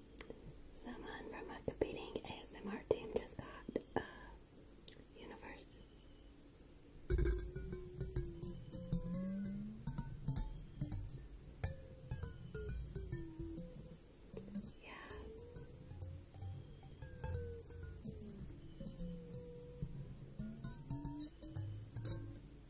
Someone from a competing ASMR team just got a uh, universe. Yeah.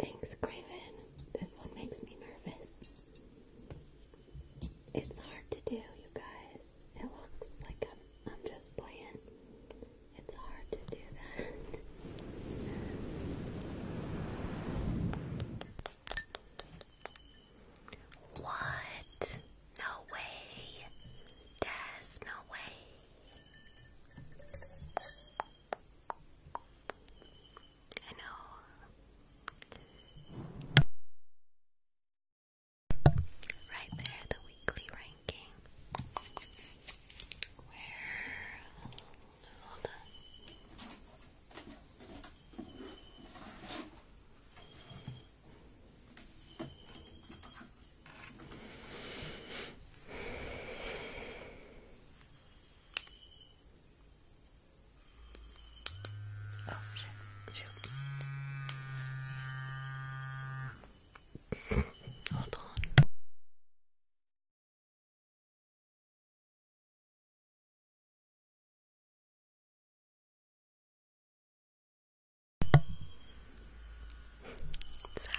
Thanks, Craven. This one makes me nervous. It's hard to do, you guys it looks like I'm, I'm just playing. It's hard to do that. What? No way. There's no way. I know. Right there, the weekly ranking. Where? Hold on. Oh shit, shoot. Hold on. Sorry.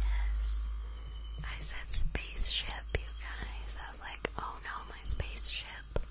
Yes. I said spaceship, you guys. I was like, oh no, my spaceship. [laughs]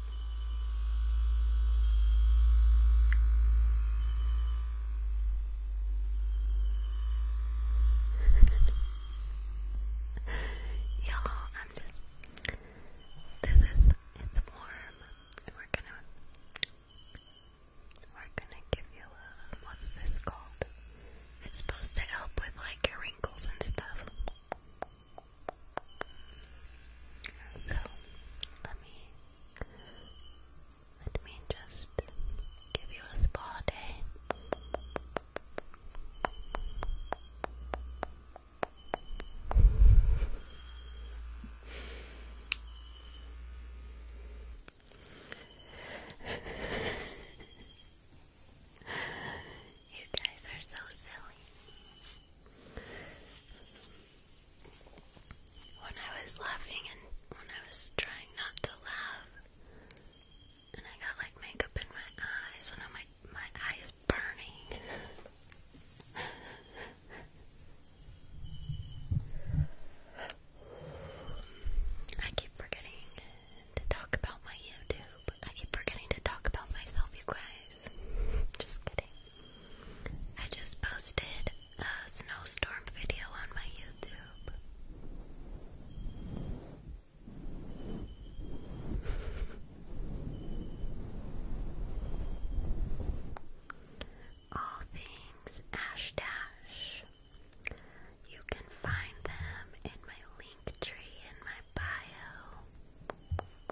[laughs] Y'all, I'm just. This is. It's warm. we're gonna. We're gonna give you a. What is this called? It's supposed to help with like your wrinkles and stuff. So let me let me just give you a spa eh? [laughs] day. you guys are so silly. When I was laughing and when I was trying not to laugh, and I got like makeup in my eyes, so now my my eye is burning. I keep forgetting to talk about my YouTube. I keep forgetting to talk about myself, you guys. [laughs] just kidding. I just posted a snowstorm video on my YouTube. [laughs] All things Ash Dash. You can find them in my link tree in my bio.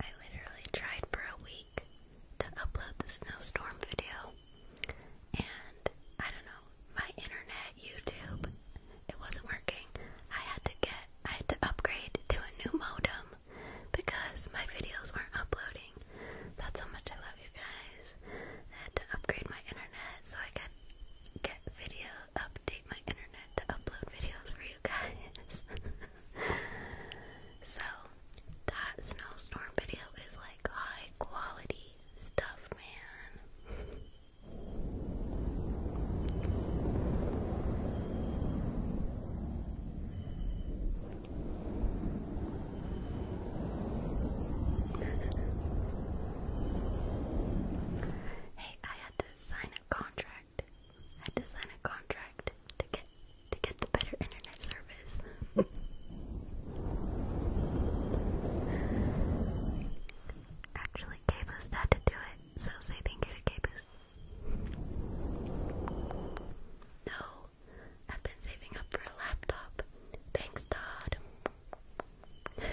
I literally tried for a week to upload the snowstorm video, and I don't know, my internet, YouTube, it wasn't working. I had to get, I had to upgrade to a new modem because my videos weren't uploading. That's how much I love you guys. I had to upgrade my internet so I could get videos update my internet to upload videos for you guys. [laughs] so, that snowstorm video is like high quality stuff, man. [laughs] hey, I had to sign a contract contract. Had to sign a contract to get to get the better internet service. [laughs] Actually, k had to do it, so say thank you to k No, I've been saving up for a laptop. Thanks, Todd. [laughs]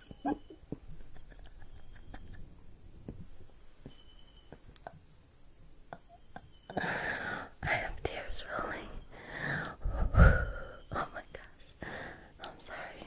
I have tears rolling. Oh my gosh. I'm sorry.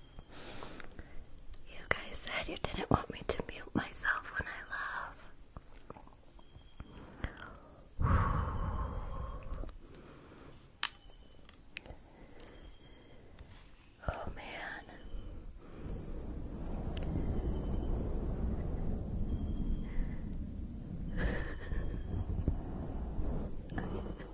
You guys said you didn't want me to mute myself when I love. Oh man. [laughs]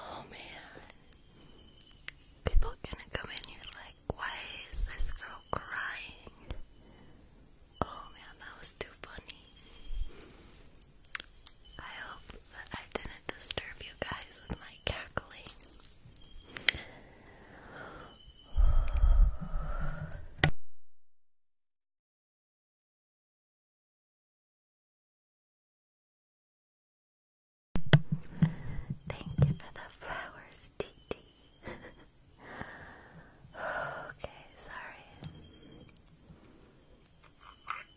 Oh man. People gonna come in here like, why is this girl crying? Oh man, that was too funny. I hope that I didn't disturb you guys with my cackling. Thank you for the flowers, Titi. [laughs] okay, sorry.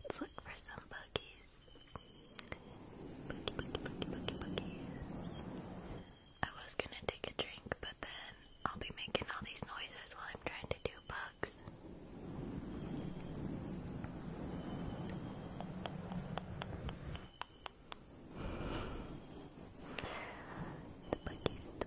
Let's look for some buggies. Buggy, buggy, buggy, buggy, buggies. I was gonna take a drink, but then I'll be making all these noises while I'm trying to do bugs. The buggies, the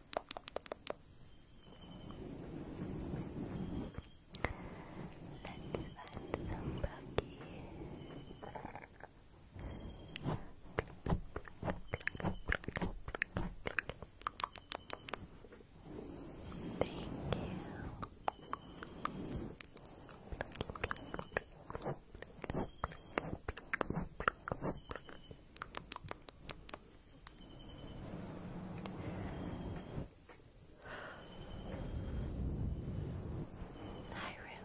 Let's find some buggy. Thank you. Thank you. Hi, Ruby.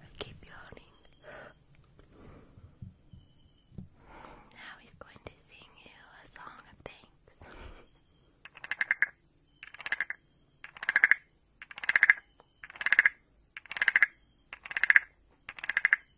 I keep yawning. Now he's going to sing you a song of thanks.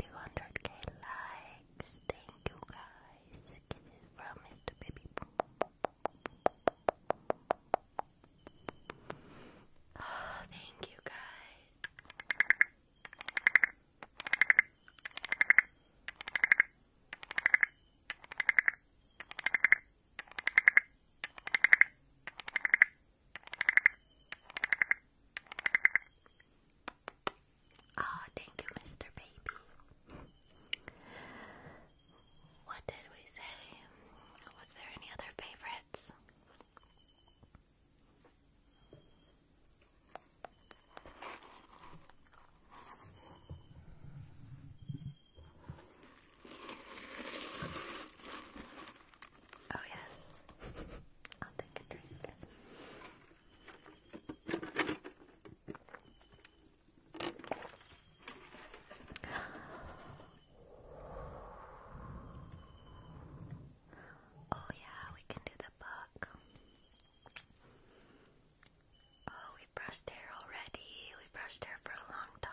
200k likes. Thank you guys. Kisses from Mr. Baby. Oh, thank you guys. Oh, thank you, Mr. Baby. what did we say? Was there any other favorites? Oh, yes. I'll take a drink. Oh, yeah, we can do the book. Oh, we brushed hair already. We brushed hair for a long time.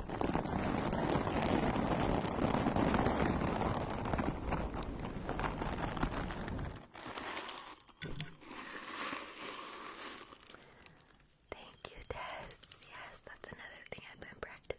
Thank you, Des. Yes, that's another thing I've been practicing.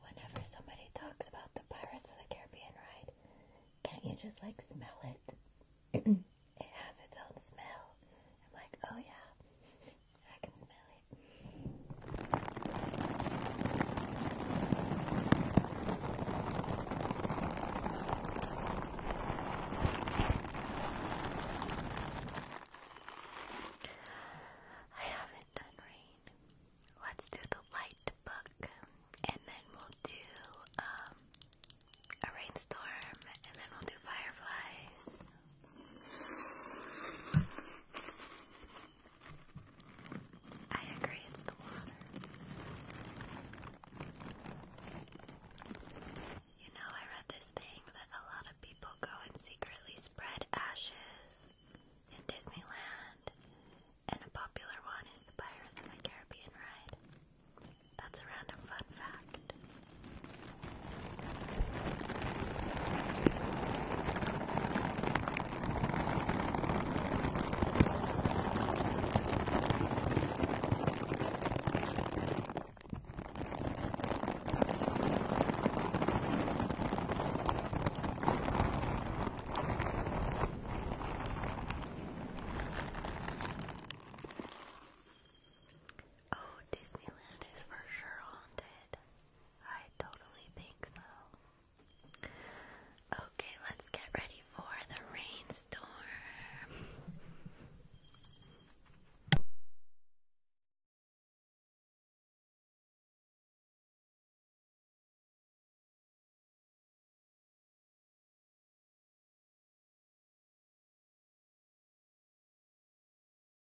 Whenever somebody talks about the Pirates of the Caribbean ride, can't you just like smell it? [clears throat] it has its own smell. I'm like, oh yeah, I can smell it. I haven't done rain. Let's do the light book and then we'll do um, a rainstorm and then we'll do fireflies. I agree, it's the water. You know, I read this thing that a lot of people go and secretly spread ashes in Disneyland, and a popular one is the Pirates of the Caribbean ride. That's a random fun fact. Oh, Disneyland is for sure haunted. I totally think so. Okay, let's get ready for the rainstorm.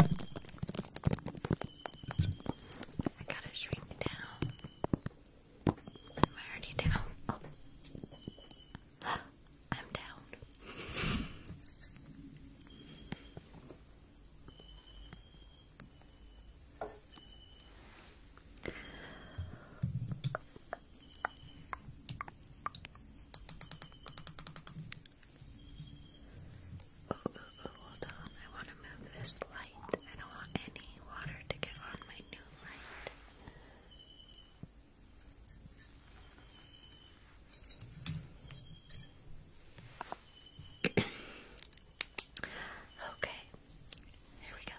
I gotta shrink down. Am I already down? [gasps] I'm down hold on. I want to move this light. I don't want any water to get on my new light. [coughs] okay, here we go.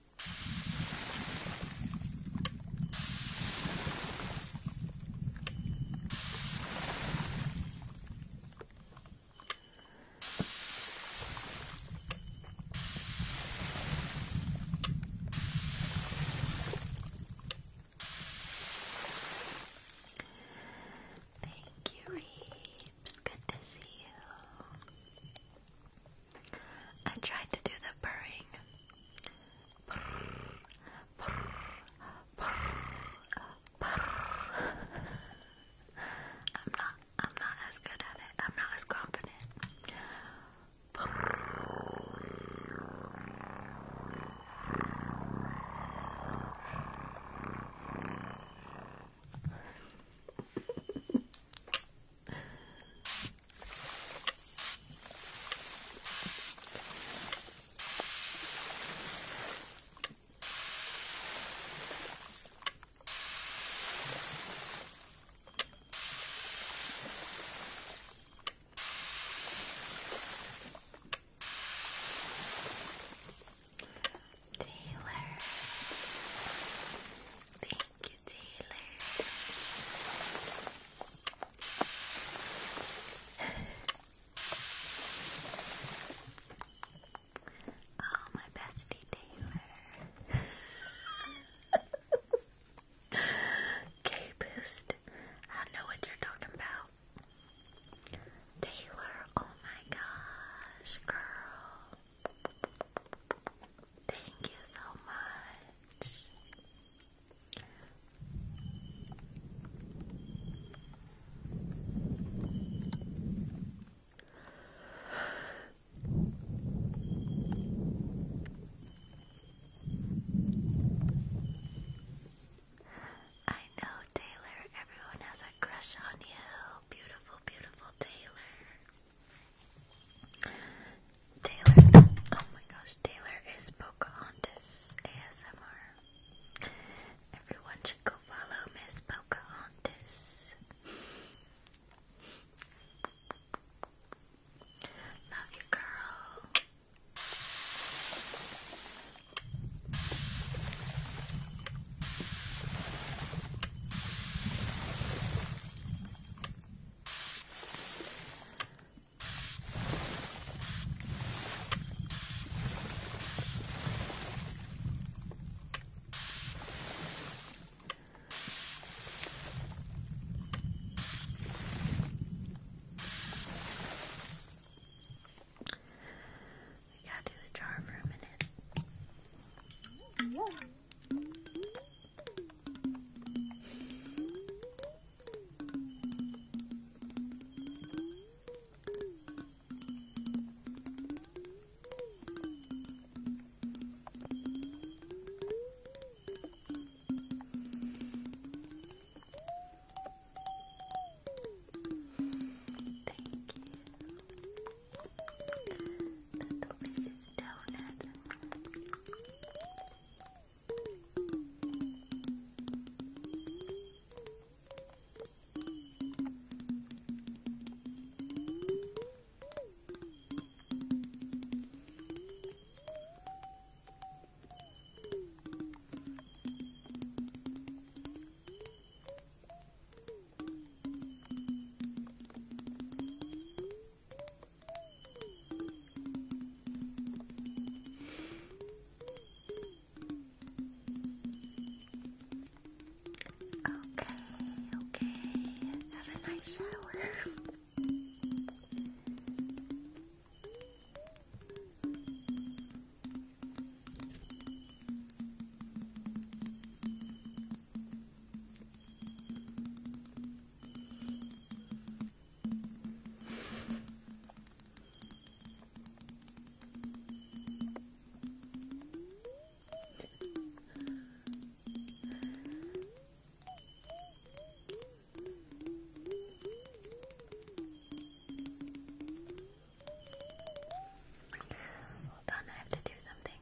Thank you, Reeves. Good to see you. I tried to do the purring. I'm not I'm not as good at it. I'm not as confident. Taylor, thank you oh, [laughs] my bestie Taylor. K Boost. I know what you're talking about. Taylor, oh my gosh, girl. Thank you so much. I know, Taylor, everyone has a crush on you. Beautiful, beautiful Taylor. Taylor, oh my gosh, Taylor is Pocahontas ASMR. Everyone should go follow Miss Pocahontas. Love you, girl. We gotta do the jar for a minute. Yeah. Thank you. The delicious donuts. Thank Okay, okay. Have a nice shower. Hold on, I have to do something.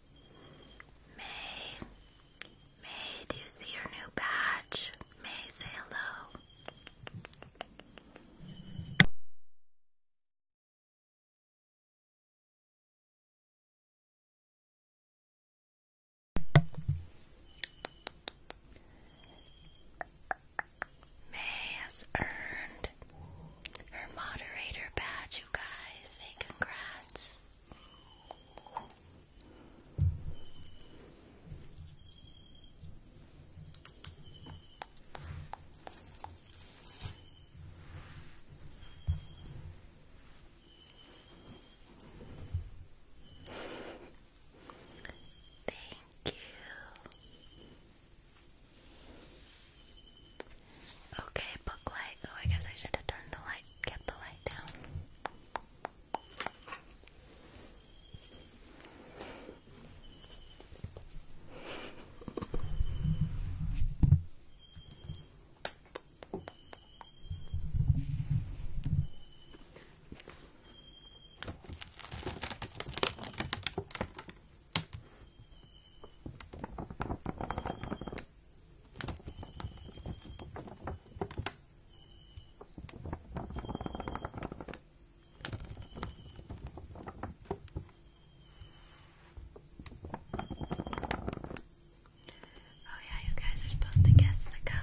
May, May, do you see your new badge? May, say hello. May has earned her moderator badge, you guys. Say congrats. Thank you. Okay, book Oh, I guess I should have turned the light Keep the light down. Oh, yeah, you guys are supposed to guess the color.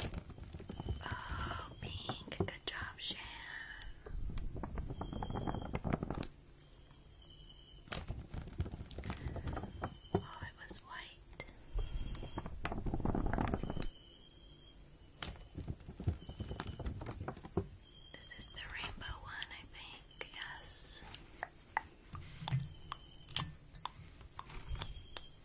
Oh, pink. Good job, Shan. Oh, it was white. This is the rainbow one, I think. Yes.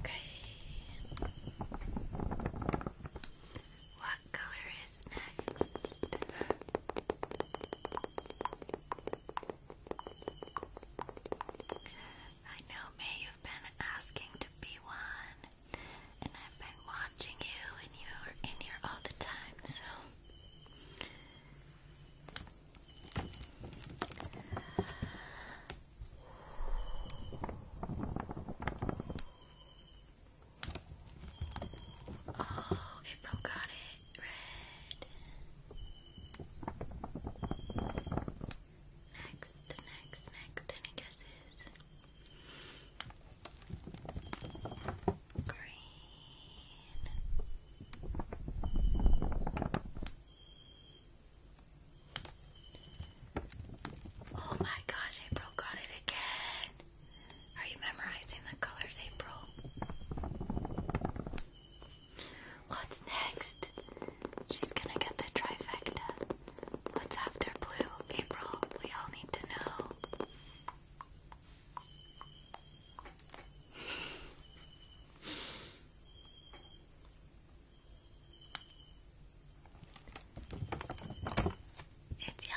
Okay. What color is next? I know, May, you've been asking to be one, and I've been watching you, and you are in here all the time, so. Oh, April got it red. Next, next, next. Any guesses? Green. Oh my gosh, April got it again. Are you memorizing the colors, April? What's next? She's gonna get the trifecta. What's after blue, April? We all need to know. It's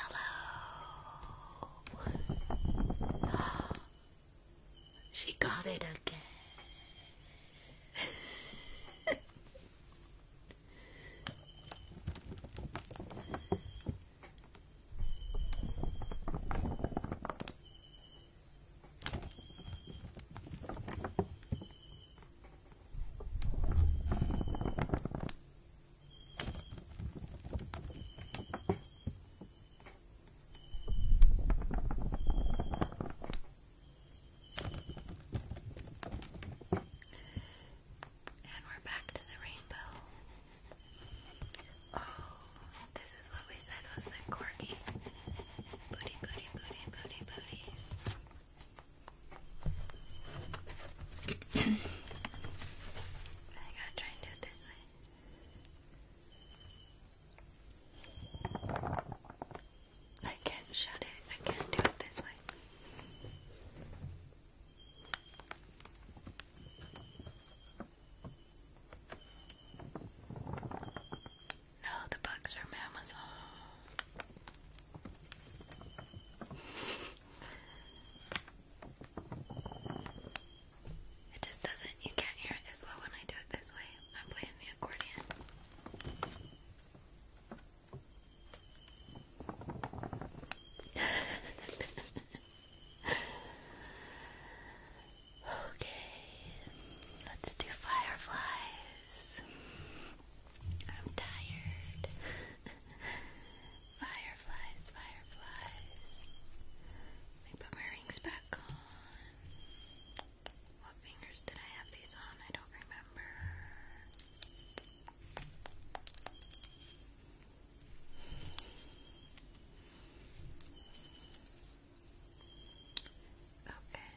yellow. [gasps] She got it again. And we're back to the rainbow. Oh, this is what we said was the corgi. Booty, booty, booty, booty, booty. [clears throat] I gotta try and do it this way. I can't shut it. I can't do it this way. No, the bugs from Amazon. Oh. It just doesn't, you can't hear it as well when I do it this way. I'm playing the accordion. [laughs] okay, let's do fireflies. I'm tired. [laughs] fireflies, fireflies. Let put my rings back. What fingers did I have these on? I don't remember. Okay.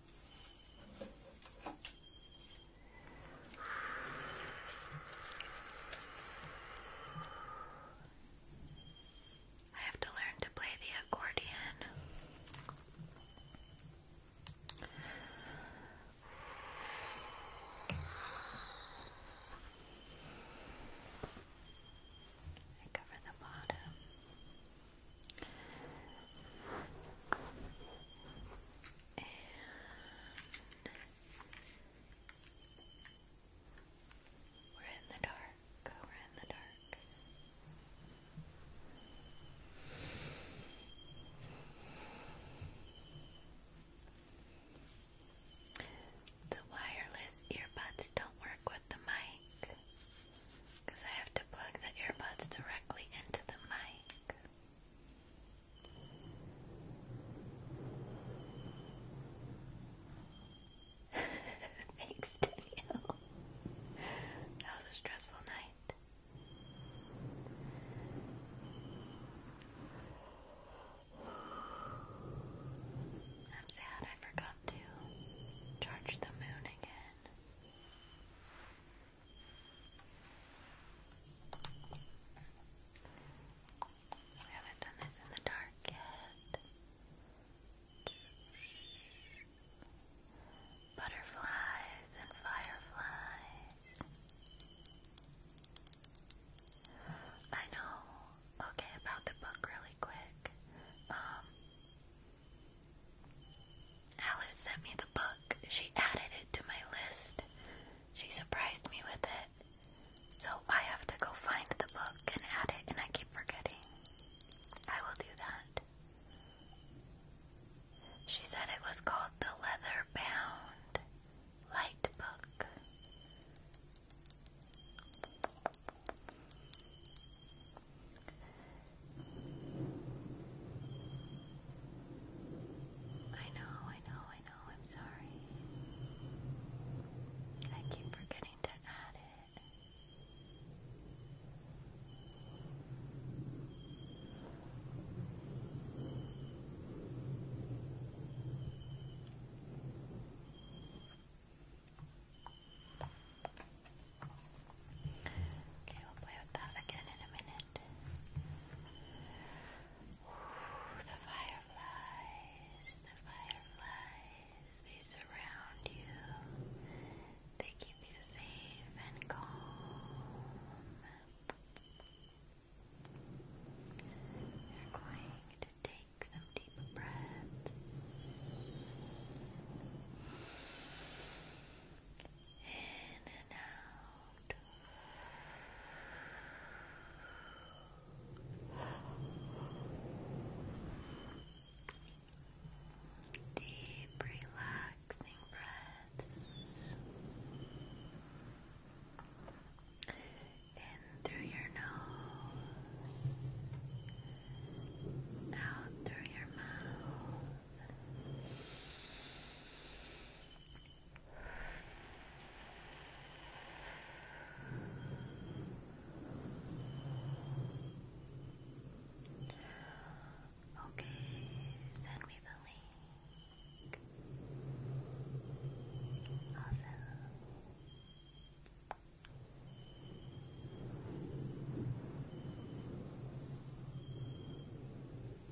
I have to learn to play the accordion. I cover the bottom we're in the dark. We're in the dark. The wireless earbuds don't work with the mic. Because I have to plug the earbuds directly into the mic. [laughs] Thanks, Daniel. That was a stressful night. I'm sad I forgot to charge the moon again. We haven't done this in the dark yet. Butterflies and fireflies. I know. Okay, about the book really quick. Um Alice sent me the book. She added it to my list. She surprised me with it. So I have to go find the book and add it, and I keep forgetting. I will do that. She said it was called The Leather Bound Light Book. I know, I know, I know, I'm sorry. I keep forgetting to add it. Okay, we'll play with that again in a minute. the fireflies, the fireflies, they surround you. They keep you safe and calm. You're going to take some deep breaths in and out. Deep, relaxing breaths in through your nose, out through your mouth. Okay, send me the link. Awesome. Okay. Oh,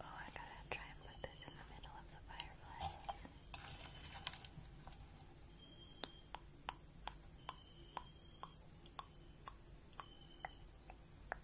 I gotta try and put this in the middle of the fireflies.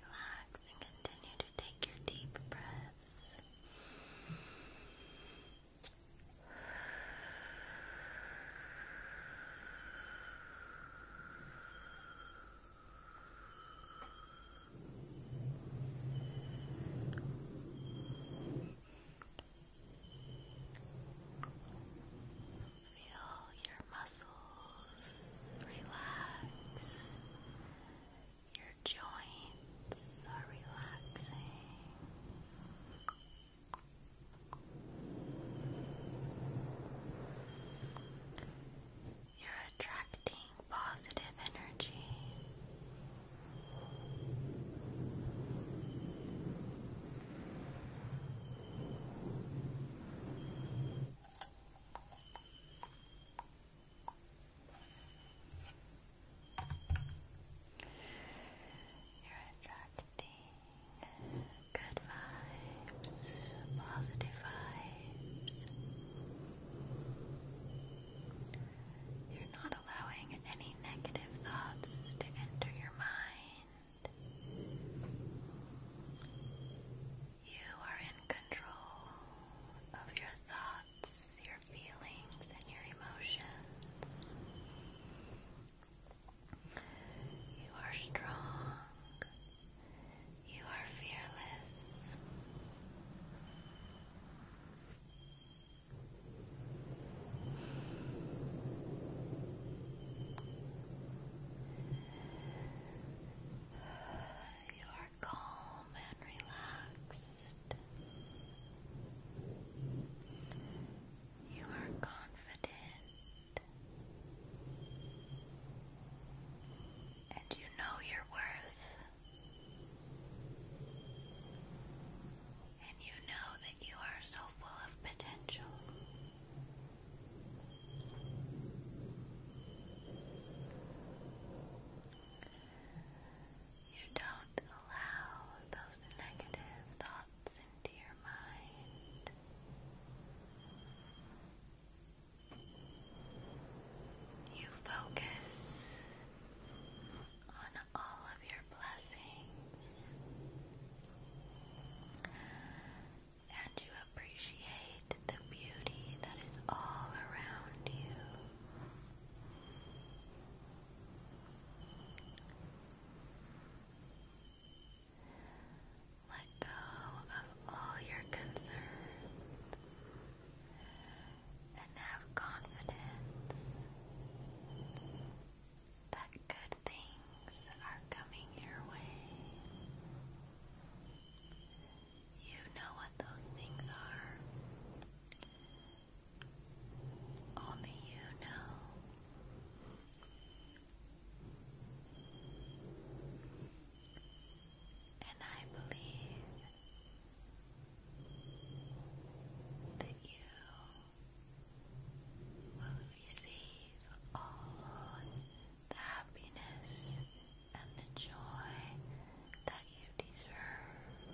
Relax and continue to take your deep breaths. Feel your muscles relax. Your joints are relaxing. You're attracting positive energy. You're attracting good vibes, positive vibes. You're not allowing any negative thoughts to enter your mind. You are in control of your thoughts, your feelings, and your emotions. You are strong. You are fearless. You are calm and relaxed. You are confident. And you know your worth and you know that you are so full of potential. You don't allow those negative thoughts into your mind. You focus on all of your blessings. And you appreciate the beauty that is all around you. Let go of all your concerns and have confidence that good things are coming your way. You know what those things are. Only you know. And I believe that you will receive all the happiness and the joy that you deserve.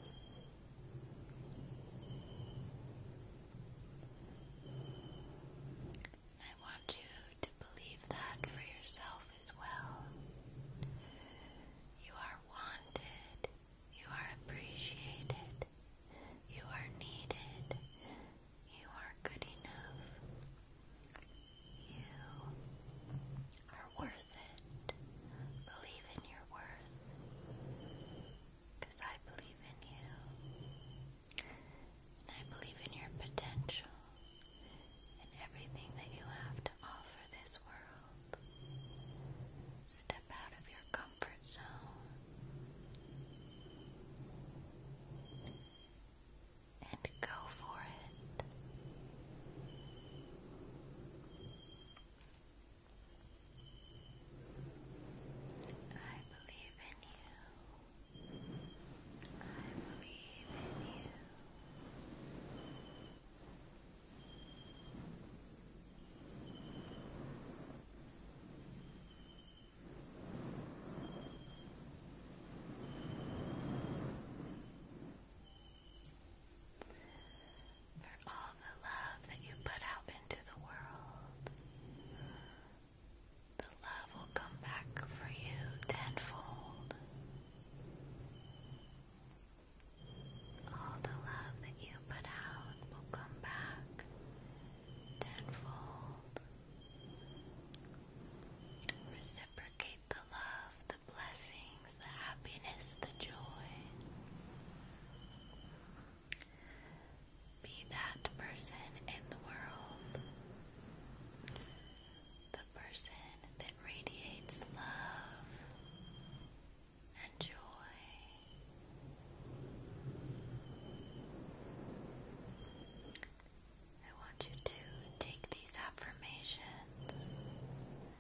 I want you to believe that for yourself as well. You are wanted you are appreciated. You are needed. You are good enough. You are worth it. Believe in your worth. I believe in you. And I believe in your potential and everything that you have to offer this world. Step out of your comfort comfort and go for it. I believe in you. I believe in you. For all the love that you put out into the world, the love will come back for you tenfold. All the love that you put out will come back tenfold. Reciprocate the love, the blessings, the happiness, the joy. Be that person in the world. The person that radiates love and joy. I want you to take these affirmations,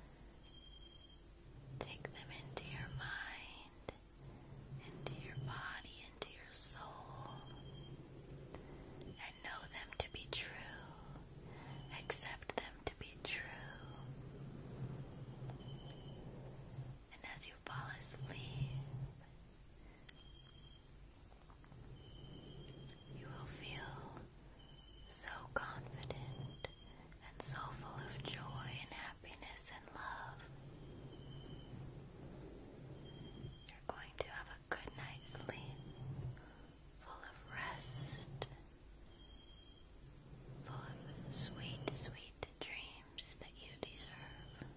take them into your mind, into your body, into your soul, and know them to be true, accept them to be true. And as you fall asleep, you will feel so confident and so full of joy and happiness and love. You're going to have a good night's sleep, full of rest, full of sweet, sweet dreams that you deserve.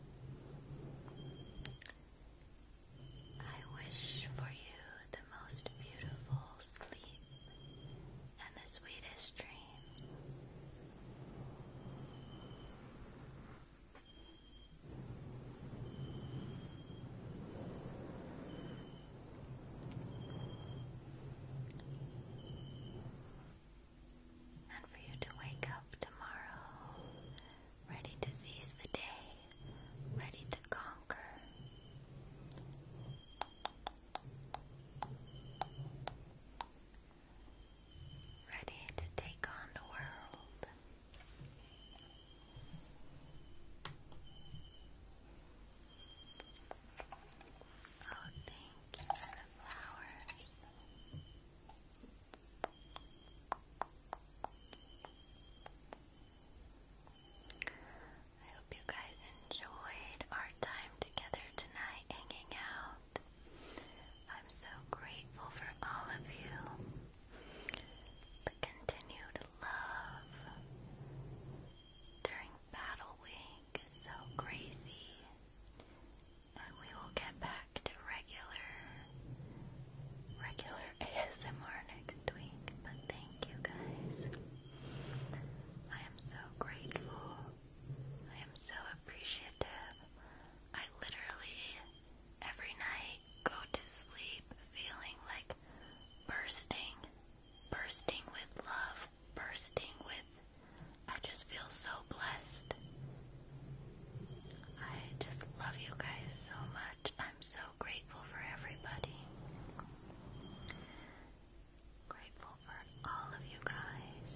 I wish for you the most beautiful sleep and the sweetest dreams and for you to wake up tomorrow ready to seize the day, ready to conquer. Ready to take on the world. Oh, thank you the flowers. I hope you guys enjoyed our time together tonight hanging out. I'm so grateful for all of you. The continued love during Battle Week is so crazy we will get back to regular regular ASMR [laughs] next week. But thank you guys. I am so grateful. I am so appreciative. I literally every night go to sleep feeling like bursting, bursting with love, bursting with I just feel so blessed. I just love you guys so much. I'm so grateful for everybody. Grateful for all of you guys.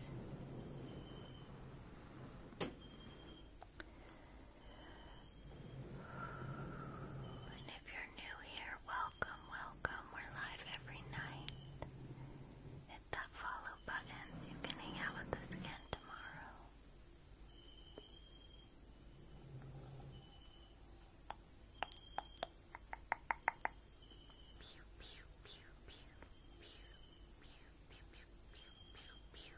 And if you're new here, welcome, welcome. We're live every night hit that follow button you can hang out with us again tomorrow. Pew, pew, pew, pew, pew, pew, pew, pew, pew, pew, pew.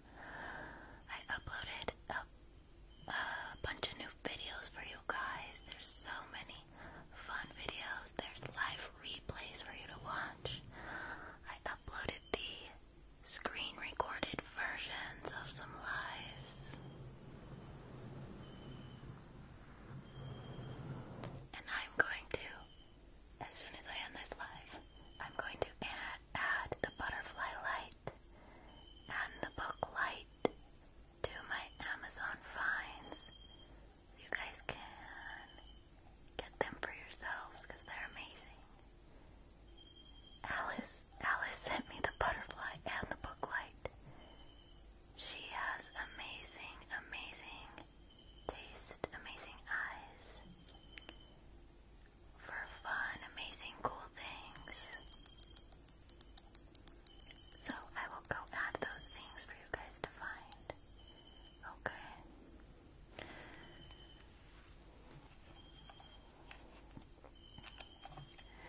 I uploaded a, bunch of new videos for you guys. There's so many fun videos. There's live replays for you to watch. I uploaded the screen recorded versions of some lives. And I'm going to, as soon as I end this live, I'm going to add, the butterfly light and the book light to my Amazon finds you guys can get them for yourselves because they're amazing. Alice, Alice sent me the butterfly and the book light. She has amazing, amazing taste, amazing eyes for fun, amazing, cool things. So I will go add those things for you guys to find. Okay.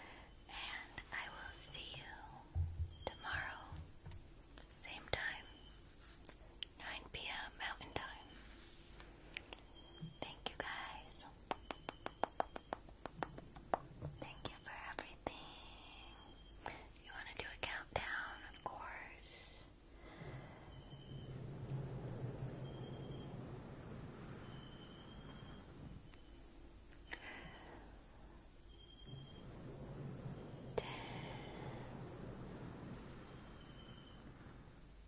And I will see you tomorrow, same time, 9 p.m. Mountain Time. Thank you guys. Thank you for everything. You want to do a countdown, of course. Ten,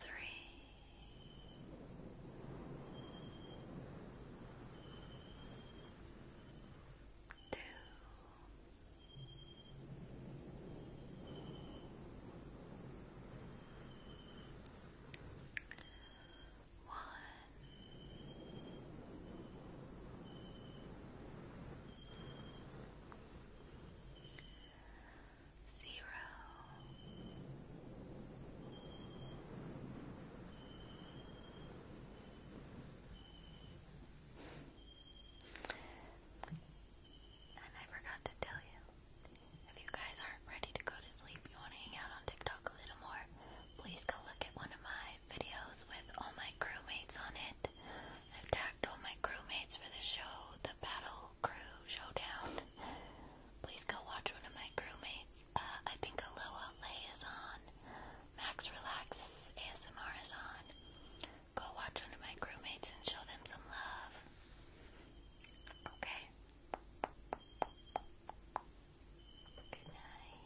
three, two, one. Relax zero. And I forgot to tell you, if you guys aren't ready to go to sleep, you want to hang out on TikTok a little more, please go look at one of my videos with all my crewmates on it. I've tagged all my crewmates for the show, the Battle Crew Showdown. Please go watch one of my crewmates. Uh, I think Aloha Lay is on. Max Relax ASMR is on. Go watch one of my crewmates and show them some love. Okay. Good night.